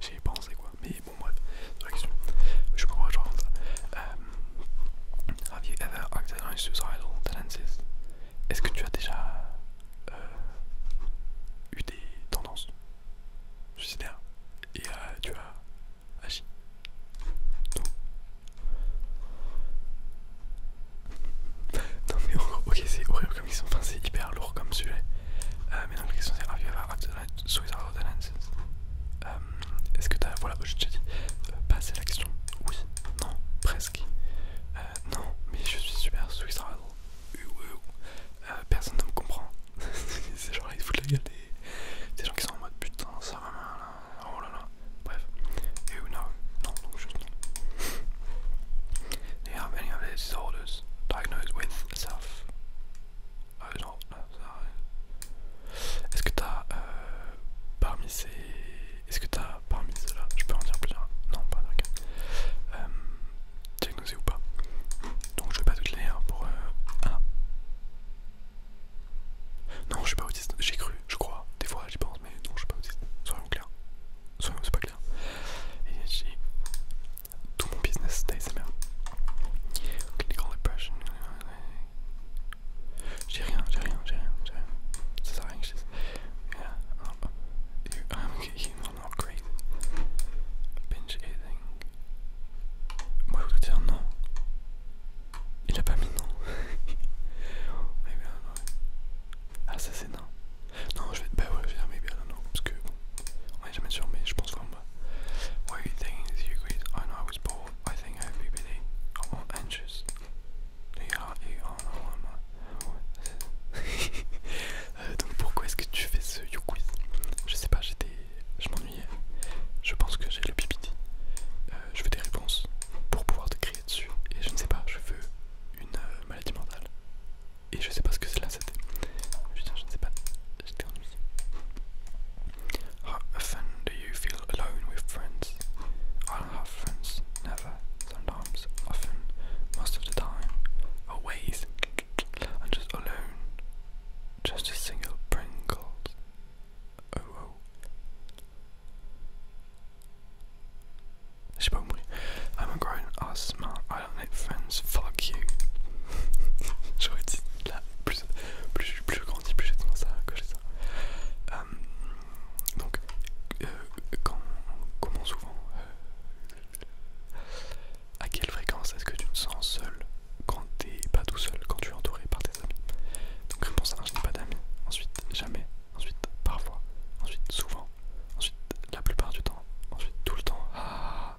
J'y ai pensé quoi, mais bon bref, c'est la question. Je pourrais genre ça. Euh, have you ever acted on suicidal tendencies? Est-ce que tu as déjà euh, eu des tendances suicidaires et euh, tu as agi? Non. mais ok c'est horrible comme ils sont, enfin c'est hyper lourd comme sujet. mais non, la question c'est Have you ever acted on suicidal euh, est-ce que t'as. Voilà, j'ai déjà dit. Pas euh, passer à l'action. Oui. Non. Presque. Euh, non, mais je suis super Swiss Rattle. personne ne me comprend. C'est genre, ils foutent la gueule des... des gens qui sont en mode putain, ça va mal. Oh là là. Bref. Et ou non. Non, donc juste non. Do you have of these disorders diagnosed with self ah non, ça Est-ce que t'as euh, parmi ces. Est-ce que t'as parmi ceux-là Je peux en dire plusieurs Non, pas d'accord. Euh, diagnosé ou pas Donc je vais pas toutes les pour. Euh, non, je suis pas autiste, j'ai cru, je crois. Des fois j'y pense, mais non, je suis pas autiste. Soyons clairs. Soyons, c'est pas clair tout mon business d'ASMR. J'ai rien, j'ai rien, j'ai rien, j'ai rien. Ça rien que je dise. not great. eating. Moi je voudrais dire non. Il a pas mis non. maybe I don't know. Ah ça c'est non. Non je vais, pas bah bien maybe I don't know parce que je jamais sûr, mais je pense qu'on va. Why are you thinking you I know I was poor. I think I have oh, I'm anxious. Euh, donc pourquoi est-ce que tu fais ce you Je sais pas, j'étais, je m'ennuyais. Je pense que j'ai le PPD. Euh, je veux des réponses pour pouvoir te créer dessus. Et je ne sais pas, je veux une euh, maladie mentale. Et je sais pas ce que c'est là, c'était. Je, je ne sais pas. How often do you feel alone with friends? I don't have friends, never, sometimes, often, most of the time, always. I'm just alone, just a single Pringle. Oh, oh. J'ai pas I'm a grown ass man, I don't need friends, fuck you. J'aurais dit la plus. plus, je grandis, plus j'ai tendance à ça. Euh, donc, euh, comment souvent, euh, à quelle fréquence est-ce que tu te sens seul quand t'es pas tout seul, quand tu es entouré par tes amis Donc, réponse je n'ai pas d'amis. Ensuite, jamais. Ensuite, parfois. Ensuite, souvent. Ensuite, la plupart du temps. Ensuite, tout le temps. Ah,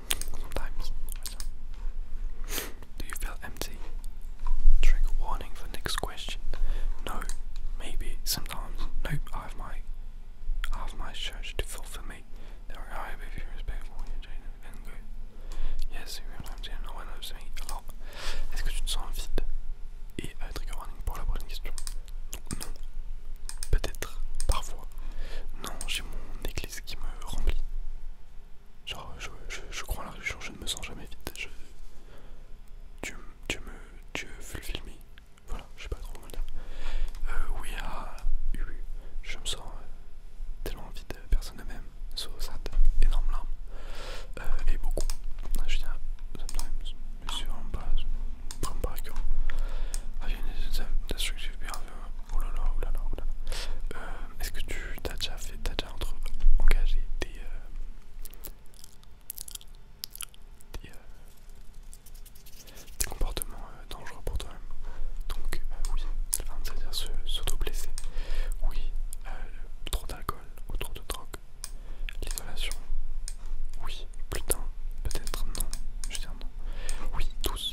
sometimes. Do you feel empty? Trigger warning for next question. No, maybe, sometimes. Nope, I have my I have my church to fulfill for your Yes, Est-ce que tu te sens vide? Et trigger warning pour la bonne question. Non. Peut-être, parfois. Non, j'ai mon église qui me remplit. Genre, je, crois en la religion, je ne me sens jamais vide. tu, tu me. Tu le filmer, Voilà, je sais pas trop comment le dire. Euh, oui, à ah, U. je me sens euh, tellement vide, personne ne m'aime, sauf ça, énorme larme. Euh, et beaucoup. Ah, je tiens, sometimes, monsieur, I'm bad, prends back home. I need a destructive behavior. Oh oh, oh euh, Est-ce que tu as déjà fait, t'as déjà engagé des, euh, euh, des, comportements dangereux pour toi-même Donc oui, c'est-à-dire s'auto-blesser. Oui, trop d'alcool ou trop de drogue. L'isolation. Oui, plus peut-être non. Je veux dire non. Oui, tous.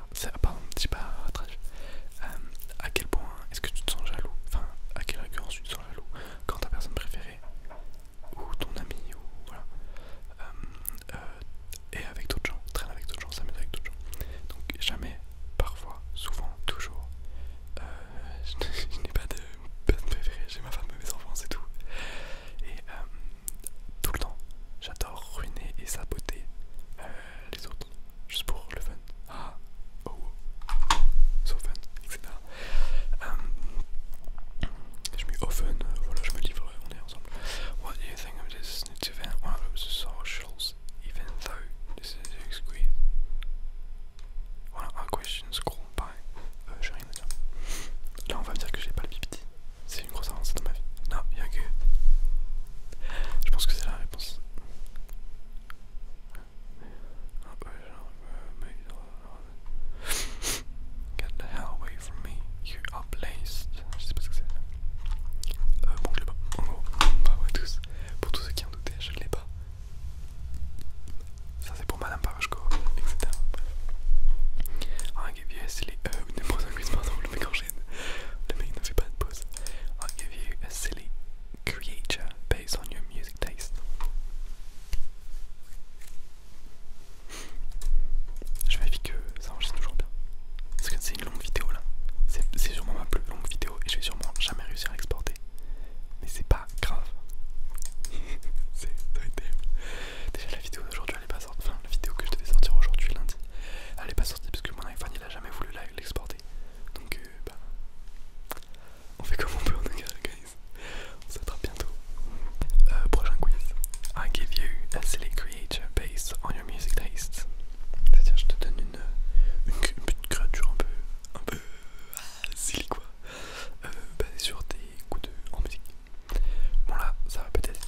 Ah, pas euh, à quel point est-ce que tu te sens jaloux Enfin, à quelle récurrence tu te sens jaloux quand ta personne préférée ou ton ami ou voilà euh, euh, avec d'autres gens, traîne avec d'autres gens, s'amuse avec d'autres gens. Donc jamais, parfois, souvent, toujours. je, n'ai pas de personne préférée, j'ai ma femme, mes enfants, c'est tout. Et tout le temps, j'adore ruiner et saboter les autres, juste pour le fun. Ah, oh, oh. so fun, etc. Euh, je voilà, je me livre, on est ensemble. What do you think of this event? One of the socials, even though this is exquisite. voilà questions by. Euh, j'ai rien à dire. Là, on va me dire que j'ai pas le C'est une grosse avancée dans ma vie. Non, y'a que. Je pense que c'est la réponse. Euh, euh, Get the hell away from me, you are placed. Je sais pas ce que c'est. Euh, bon, je l'ai pas. En gros, bah tous. Pour tous ceux qui en doutaient, je ne l'ai pas. Ça, c'est pour Madame Parashko, etc. I'll give you a silly. Euh, une pardon, le mec le mec ne fait pas de pause. I'll give you a silly creature based on your music taste. Je vite que ça enregistre toujours bien. Parce que c'est une longue vidéo là. C'est sûrement ma plus longue vidéo et je vais sûrement jamais réussir à exporter. Mais c'est pas grave. c'est terrible. Déjà la vidéo d'aujourd'hui elle est pas sortie. la vidéo que je devais sortir aujourd'hui lundi. Elle est pas sortie parce que mon iPhone jamais voulu l'exporter. Donc, euh, bah, on fait comme on peut, on guys. On s'attrape bientôt. Euh, prochain quiz. I give you a silly creature based on your music taste. C'est-à-dire, je te donne une, euh, une, créature un peu, un peu ah, silly quoi, euh, basée sur tes goûts en musique. Bon, là, ça va peut-être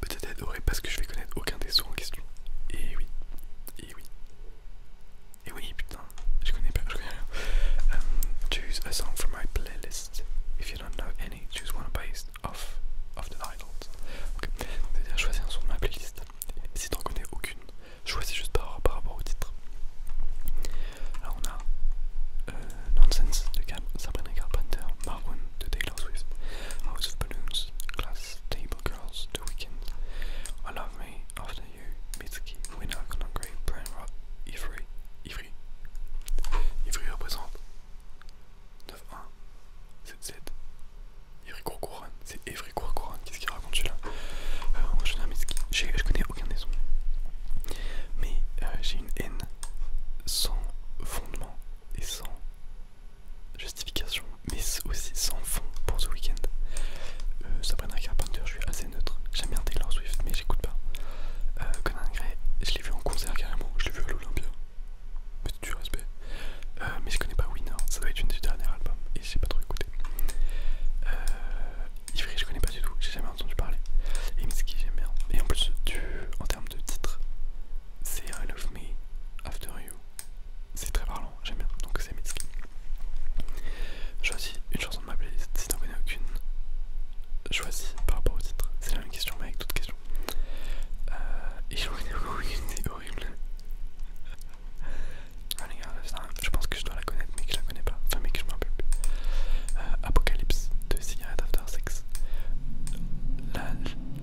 Peut-être adoré parce que je vais connaître aucun des sons en question. Et oui, et oui, et oui, putain, je connais pas, je connais rien. Um, choose a song from my playlist. If you don't know any, choose one based off of the titles. Ok, C'est-à-dire choisis un son de ma playlist. Si tu n'en connais aucune, choisis juste par, par rapport au titre. Alors on a euh, Nonsense de Cam, Sabrina Carpenter, Marwan de Taylor Swift, House of Balloons, Glass Table girls, the weekend. I love me, after you, Mitsuki, winner, Conakry, Brain Rot, Ivry, Ivry. Ivry représente 9-1, 7-7. Ivry Courcouronne, c'est Ivry Courcouronne, qu'est-ce qu'il raconte celui-là Moi euh, je connais Mitsuki, je connais aucun des sons. Mais euh, j'ai une haine sans fondement et sans justification, mais aussi sans fond pour ce week-end. Euh, Sabrina Carpenter, je suis assez neutre. J'aime bien Taylor Swift, mais j'écoute pas. Euh, Conan Gray, je l'ai vu en concert carrément, je l'ai vu à l'Olympia. c'est du respect. Euh, mais je connais pas Winner, ça doit être une des derniers albums et j'ai pas trop écouté. Ivry, je connais pas du tout, j'ai jamais entendu parler. Et qui j'aime bien. Et en plus, en termes de titre, c'est I Love Me After You c'est très parlant, j'aime bien, donc c'est Mitski. Choisis une chanson de ma playlist, si n'en connais aucune, choisis par rapport au titre. C'est la même question, mais avec toute questions. Euh, et j'en connais c'est horrible. Ah, je pense que je dois la connaître, mais que je la connais pas, enfin, mais que je m'en rappelle plus. Euh, Apocalypse de Cigarette After Sex.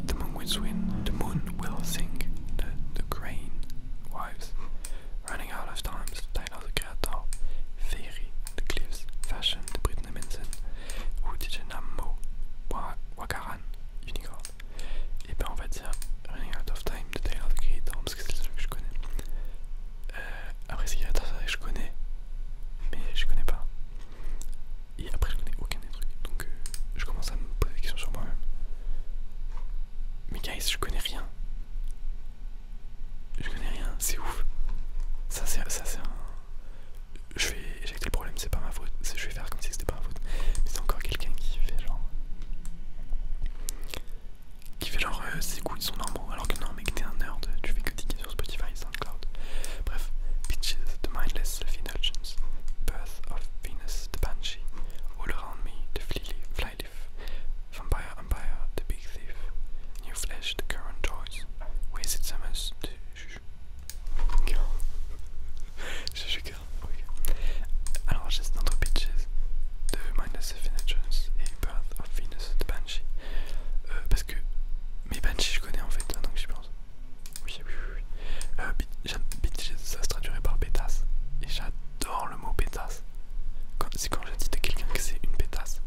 the Moon Will The Moon Will sing the, the crane wives, running out of times, Tyler the Creator, Fairy, The Cliffs, Fashion, The Britney Manson, ou DJ Wakaran, Unicorn. Et ben on va dire Running Out of Time de Tyler the Creator parce que c'est celui que je connais. Euh, après, c'est que je connais, mais je connais pas. Et après, je connais aucun des trucs. Donc, euh, je commence à me poser des questions sur moi-même. Mais, guys, je connais rien. Je connais rien, c'est ouf. Ça, c'est un. Je vais éjecter le problème, c'est pas ma faute. Je vais faire comme si c'était pas ma faute. Mais c'est encore quelqu'un qui fait genre. Qui fait genre, c'est euh, ses goûts ils sont normaux. Alors que non, mec, t'es un nerd, tu fais que ticket sur Spotify, SoundCloud. Bref, bitches, The Mindless, indulgence, birth of Venus the Banshee, all around me the flyleaf, fly vampire and empire the big thief, new flesh the current choice, wasted summers the girl, Juju girl, ok. Alors j'ai notre pitches de Minus of et Birth of Venus the Banshee, euh, parce que mes Banshees je connais en fait, maintenant que pense. Oui, oui, oui. Euh, ça se traduirait par pétasse. Et j'adore le mot pétasse. C'est quand je dis à quelqu'un que c'est une pétasse.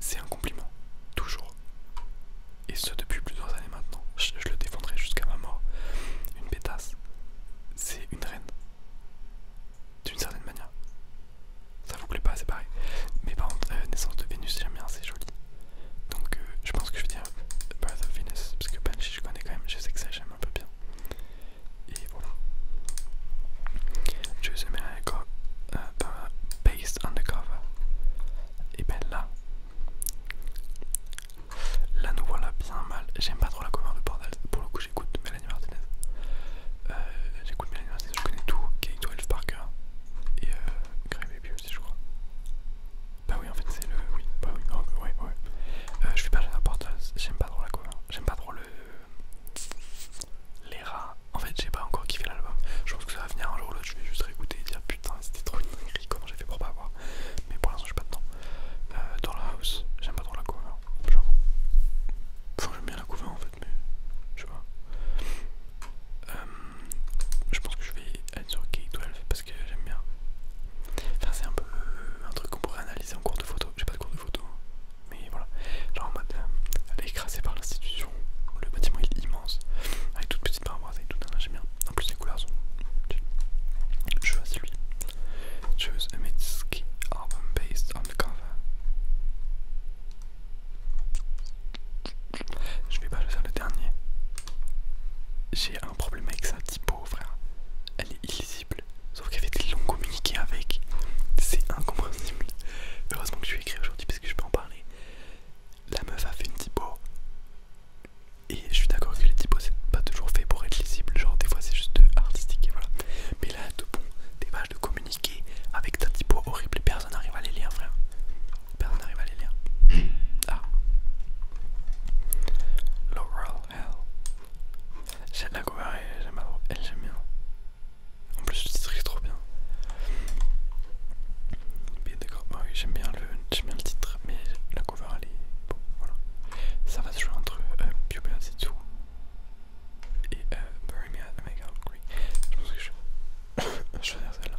C'est un compliment. Toujours. Et ce depuis plusieurs années maintenant. Je, le défendrai jusqu'à ma mort. Une pétasse, c'est une reine. D'une certaine manière. Ça vous plaît pas, c'est pareil. Mais par contre, euh, naissance de Vénus, j'aime bien, c'est joli. Donc euh, je pense que je vais dire Birth of Venus, parce que Banshee je connais quand même, je sais que ça j'aime un peu bien. Et voilà. Choose a miracle uh, based on the cover. Et ben là, là nous voilà bien mal. J'aime pas trop la cover de Bordel, pour le coup j'écoute Melanie Martinez. Euh, j'écoute Melanie Martinez, je connais tout, K12 Parker et euh, Grey Baby aussi je crois. Bah oui en fait c'est le... Oui, bah oui, ouais, ouais. Euh, je suis pas important j'aime pas trop la cover, j'aime pas trop le... Les rats, en fait j'ai pas encore kiffé l'album, je pense que ça va venir un jour ou l'autre, je vais juste réécouter et dire putain c'était trop une dinguerie, comment j'ai fait pour pas avoir, mais pour l'instant j'ai pas de temps. Euh, dans la house, j'aime pas trop la cover, j'avoue. Enfin j'aime bien la cover en fait, mais je sais pas. je pense que je vais être sur K12 parce que j'aime bien. Enfin, c'est un peu euh, un truc qu'on pourrait analyser en cours de photo. J'ai pas de cours de photo, hein. mais voilà. Genre en mode, euh, elle est écrasée par l'institution. Le bâtiment est immense, avec toutes petites parois et tout. J'aime bien. En plus, les couleurs sont. Choose a based on the Je vais pas faire le dernier. J'ai un problème avec ça, type frère. Hein. elle est illisible. Sauf qu'elle fait des longs communiqués avec. C'est incompréhensible. Heureusement que je suis écrit aujourd'hui parce que je peux en parler. La meuf a fait une typo. Et je suis d'accord que les typos c'est pas toujours fait pour être lisible. Genre des fois c'est juste artistique et voilà. Mais là, tout bon, des vaches de communiquer avec ta typo horrible. Personne n'arrive à les lire, frère. Personne n'arrive à les lire. Ah. Laurel L. J'aime la cover, elle, elle j'aime bien. En plus, le titre est trop bien. d'accord, bah oui, j'aime bien, bien, le titre, mais la cover, elle est. Bon, voilà. Ça va se jouer entre euh, Puberty 2 et Bury Me at Mega Hungry. Je pense que je, vais choisir celle-là.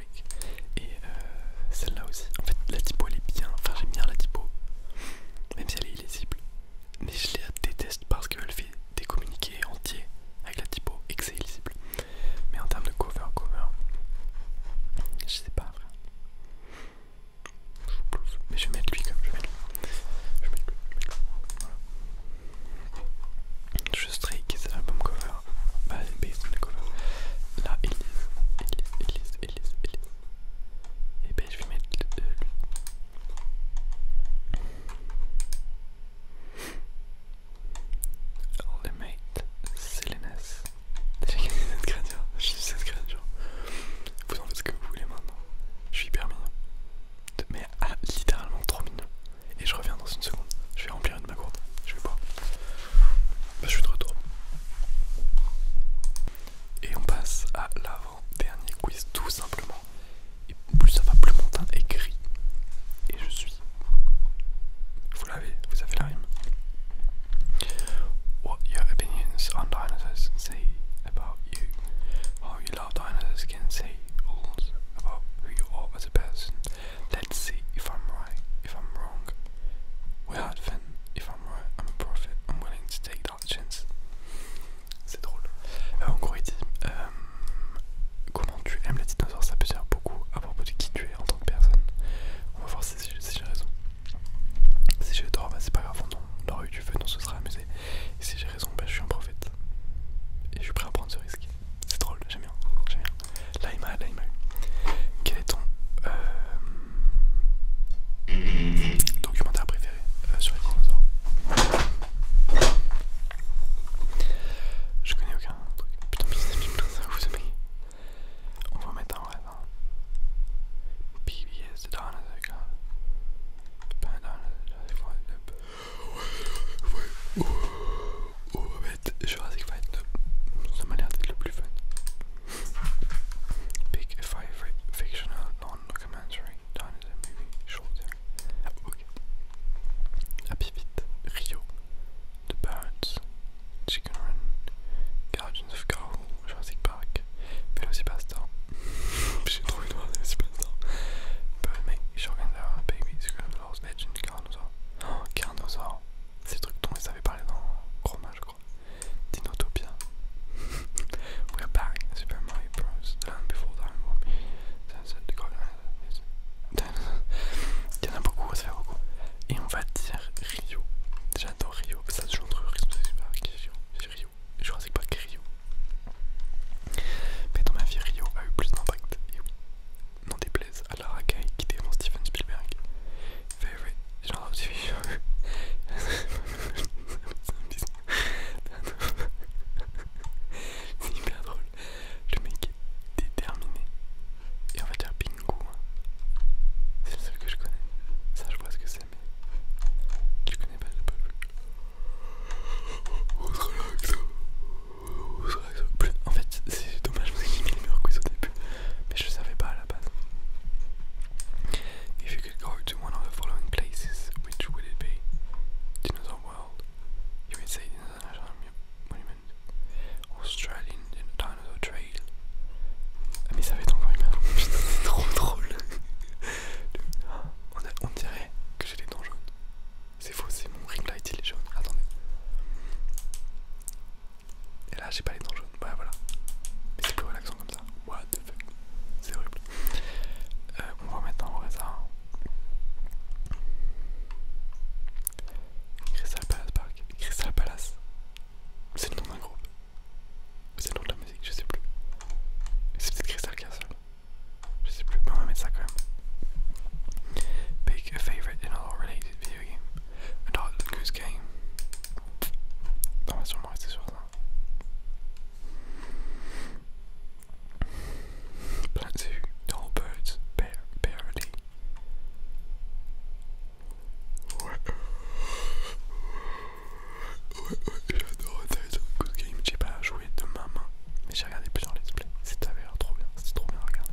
et euh, celle-là aussi. En fait, la typo elle est bien. Enfin, j'aime bien la typo. Même si elle est illisible. Mais je la déteste parce qu'elle fait des communiqués entiers avec la typo et que c'est illisible. Mais en termes de cover, cover, je sais pas. Mais je vais mettre lui comme je vais mettre lui. Je vais mettre lui, je Stray c'est l'album cover. Bah, based on the cover. Là, Elise, Elise, Elise, Elise, Elise. Et eh ben, je vais mettre lui. Le mate, Selenas. J'ai gagné cette créature je suis cette créature. Vous en faites ce que vous voulez maintenant. Je suis hyper mignon. Mais à ah, littéralement trop mignon. Et je reviens dans une seconde. Je vais remplir une ma gourde. Je vais boire. Bah, je suis de retour. Et on passe à l'avant-dernier quiz tout simplement. Et plus ça va, plus mon teint est gris. Et je suis. Vous l'avez, vous avez la rime. What your opinions on dinosaurs say about you. How your love dinosaurs can say all about who you are as a person. Let's see if I'm right, if I'm wrong. if I'm right, I'm a prophet, I'm willing to take that chance. C'est drôle. Euh, en gros, il dit euh, Comment tu aimes les dinosaures Ça peut dire beaucoup à propos de qui tu es en tant que personne. On va voir si, j'ai raison. Si j'ai tort, bah, c'est pas grave, on aura eu du fun, on se sera amusé. Et si j'ai raison, bah, je suis un prophète. Et je suis prêt à prendre ce risque. C'est drôle, j'aime bien, Là il m'a, Quel est ton euh, documentaire préféré euh, sur les dinosaures Je connais aucun truc. Putain, ça vous aimez On va mettre un PBS, Oh euh, fait Jurassic Fight d'être le plus fun. Big Fictional Non-Documentary Dinosaur Movie short ah, ok. Happy Feet, Rio, The Birds, Chicken Run, Guardians of Jurassic Park, J'ai trouvé le Birdman, un Baby, Lost Legend, Oh, Ces trucs dont ils avaient parlé dans Chroma, je crois. Dinotopia. We're back. Super Mario Bros. The Land Before the Il y en a beaucoup, ça fait beaucoup. Et on va dire Rio. J'adore Rio. Ça se joue entre Rio. C'est Rio. Je crois que c'est pas que Rio. Mais dans ma vie, Rio a eu plus d'impact non déplaise à Lara racaille, qui mon Steven Spielberg. Favorite genre TV show. C'est hyper drôle. Le mec est déterminé. Et on va dire bingo hein. C'est le seul que je connais. Ça, je vois ce que c'est, mais je connais pas. le peuple On se relaxe. En fait, c'est dommage, vous avez mis le mur quiz au début, mais je savais pas à la base. If you could go to one of the following places, which would it be? Dinosaur World, you would say Dinosaur National Monument, Australian Dinosaur Trail. Ah, mais ça fait encore une merde, putain, c'est trop drôle! On, on dirait que j'ai des dents jaunes. C'est faux, c'est mon ring light, il est jaune. Attendez. Et là, j'ai pas les dents jaunes. Ouais, bah, voilà. Mais c'est plus relaxant comme ça. What the fuck. C'est horrible. Euh, on va mettre en hein. Crystal Palace Park. Crystal Palace. C'est le nom d'un groupe. C'est le nom de la musique, je sais plus. C'est peut-être Crystal Castle. Je sais plus. Mais on va mettre ça quand même. Pick a favorite in all related video game. Alors, good Game. On va sûrement rester sur ça. Plein zoo, all birds, Bear Parody. Ouais. Ouais, ouais, j'adore Good Game. J'ai pas joué de ma main, mais j'ai regardé plusieurs let's play. C'était trop bien, c'était trop bien à regarder.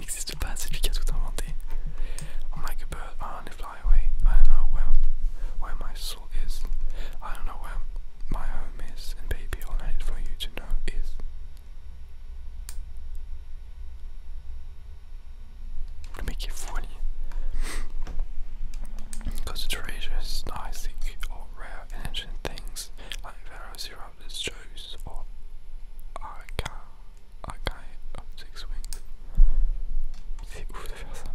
it n'existe pas, c'est lui qui a i I'm like a fly away. I don't know where, where my soul is. I don't know where my home is. And baby, all I need for you to know is. Le mec est fou, Because the or rare ancient things like Pharaoh Zero, or Arca Ah, carré, six wings. C'est ouf de faire ça.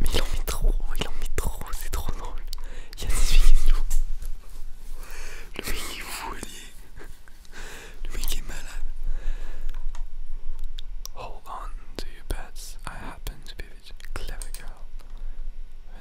Mais il en met trop, il en met trop, c'est trop drôle. Il a des filles Le mec est Le mec est malade. Hold on to your bets. I happen to be a clever girl.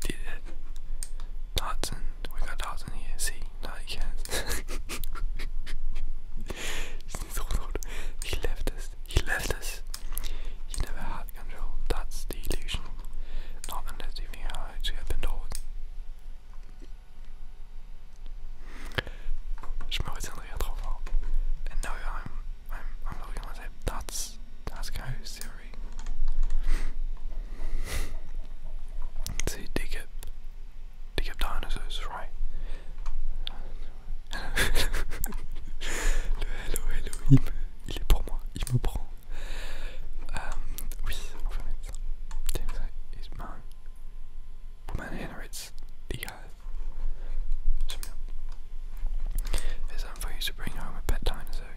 did it. Dotson, we got Dotson here. See, no, he can't. he left us. He left us. He never had control. That's the illusion. Not unless you knew how to open doors. Je me retiendrai trop fort. And now I'm, I'm, I'm looking myself. That's, that's kind of serious. See, dig up, dig up dinosaurs, right? hello, hello, il, me, il est pour moi, me prend. Euh, oui, woman generates the guys. It's time for you to bring home a pet dinosaur.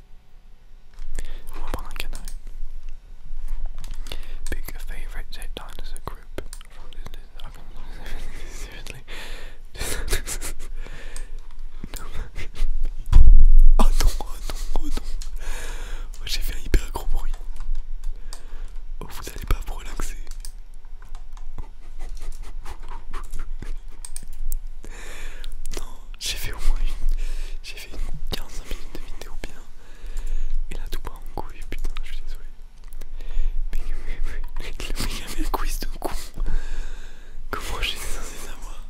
On va prendre un canard. Pick a favorite dinosaur group oh non, oh non, oh non. J'ai fait un hyper gros bruit. Oh, vous allez pas vous relaxer. Non, j'ai fait au moins une. J'ai fait une 15 minutes de vidéo bien. Et là tout part en couille, putain, je suis désolé. Mais, il y avait un quiz de con. Comment j'étais censé savoir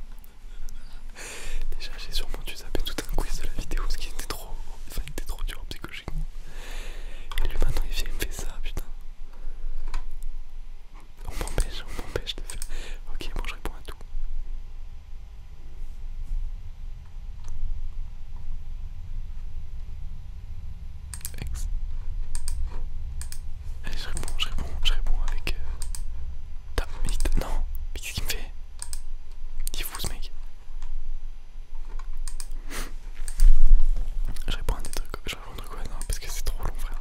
Déjà j'ai sûrement dû saper tout un quiz de la vidéo ce qui était trop. Enfin trop dur psychologiquement. Et lui maintenant il il me fait ça putain. On m'empêche, on m'empêche de faire. Ok, bon, je réponds à tout. Ex. Allez, je réponds, je réponds, je réponds avec. Euh... Non, mais qu'est-ce qu'il me fait Il est fou ce mec. je réponds à des trucs. Je réponds à quoi Non, parce que c'est trop long, frère.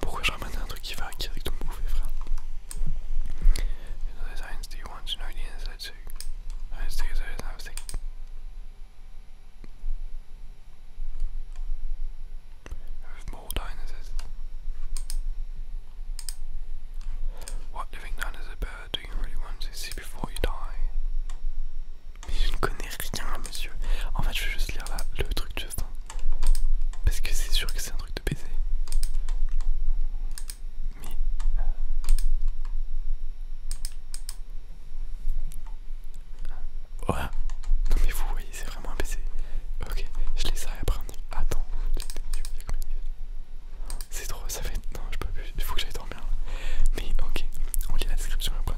Pourquoi je ramène un truc qui va qui avec ton bouffé, frère What living dinosaur do you really want to see before you die? Mais je ne connais rien, monsieur. En fait, je vais juste lire le truc juste parce que c'est sûr que c'est un truc de baiser. Mais... Euh, voilà. Non mais vous voyez, c'est vraiment un baiser. Ok, je laisse ça et après on Attends, c'est trop, ça fait... Non, je peux plus, il faut que j'aille dormir. Mais ok, on lit la description et après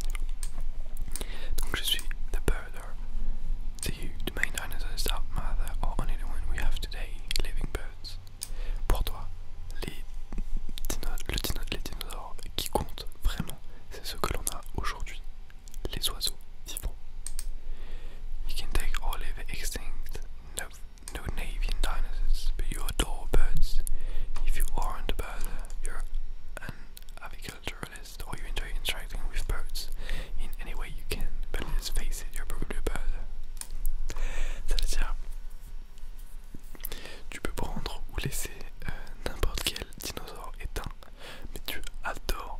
Donc je suis d'accord. the, the main dinosaurs that mother or only the one we have today, living birds. Pour les dino le dino les dinosaures qui comptent vraiment, c'est ce que l'on a aujourd'hui, les oiseaux Ça veut dire, tu peux prendre ou laisser euh, n'importe quel dinosaure éteint, mais tu adores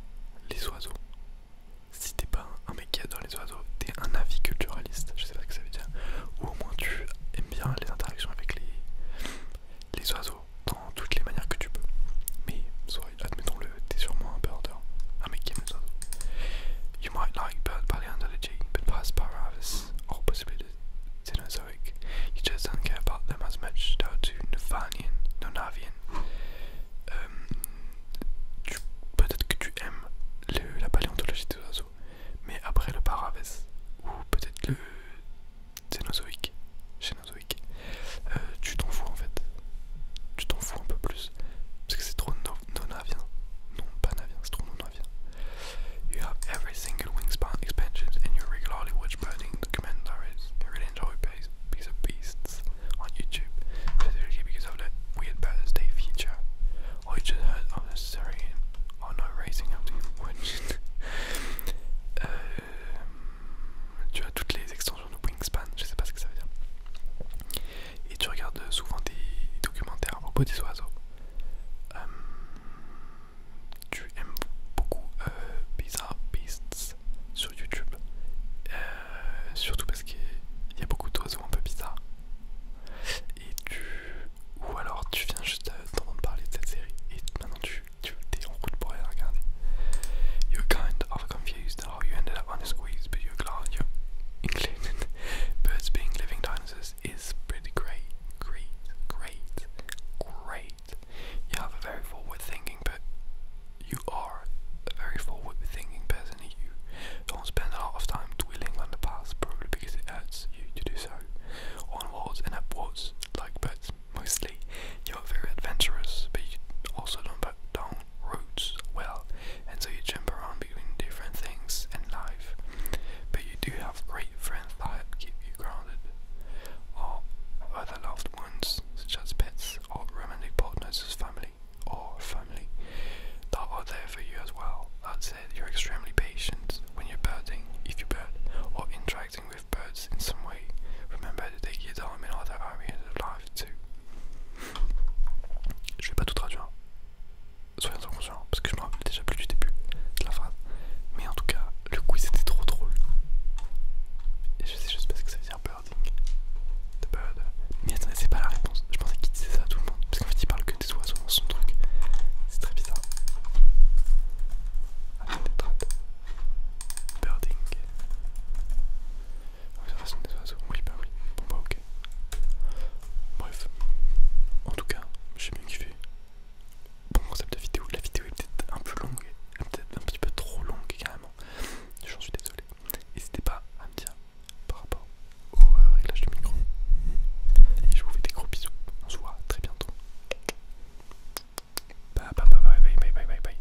les oiseaux. Si t'es pas un mec qui adore les oiseaux, t'es un aviculturaliste, je sais pas ce que ça veut dire, ou au moins tu aimes bien les interactions avec les, les oiseaux en toutes les manières que tu peux. Mais admettons-le, t'es sûrement un birder, un mec qui aime les oiseaux. You might like bird paleontology, but Paravis or possibly the Cenozoic. You just don't care about them as much. They're too Navanian, Nonavian. Euh, um, Peut-être que tu aimes la paléontologie des oiseaux, mais après le Paravis, ou peut-être le Cenozoic, je euh, tu t'en fous en fait. Tu t'en fous un peu plus. Parce que c'est trop non-navien. Non, pas navien, c'est trop non-navien. You have every single wingspan expansion and you regularly watch burning the I really enjoy Piece of Beasts on YouTube, specifically because of the Weird Birthday feature. I just heard of on oh, no, racing up to you, which. Euh, tu as toutes les extensions de Wingspan, je sais pas ce que ça veut dire. Et tu regardes souvent des documentaires au propos des oiseaux. Euh, tu aimes beaucoup euh, Bizarre Beasts sur YouTube, surtout parce qu'il y a beaucoup d'oiseaux un peu bizarres. Et tu, ou alors tu viens juste d'entendre parler de cette série et maintenant tu, es en route pour aller la regarder. You kind of confused how you ended up on a squeeze, but you're glad you're included. Birds being living dinosaurs is pretty great, great, great, great. You have a very forward thinking, but you are a very forward thinking person. You don't spend a lot of time dwelling on the past, probably because it hurts you to do so. Onwards and upwards, like birds mostly. You're very adventurous, but you also don't, don't roots well, and so you jump around between different things in life. But you do have great friends that keep you grounded, or other loved ones, such as pets or romantic partners as family or family, that are there for you as well. That said, you're extremely patient when you're birding, if you bird, or interacting with birds in some way. Remember to take your time in other areas of life too. Je vais pas tout traduire. Soyez conscient, parce que je me rappelle déjà plus du début de la phrase. Mais en tout cas, le quiz était trop drôle. Et je sais juste parce que ça veut dire birding. bird. Mais attendez, c'est pas la réponse. Je pensais qu'il disait ça à tout le monde. Parce qu'en fait, il parle que des oiseaux dans son truc. C'est très bizarre. Birding des ah, oui bah oui, bon bah ok. Bref, en tout cas, j'ai bien kiffé. Bon concept de vidéo, la vidéo est peut-être un peu longue, peut-être un petit peu trop longue carrément. J'en suis désolé. N'hésitez pas à me dire par rapport au euh, réglage du micro. Et je vous fais des gros bisous. On se voit très bientôt. bye bye bye bye bye bye bye.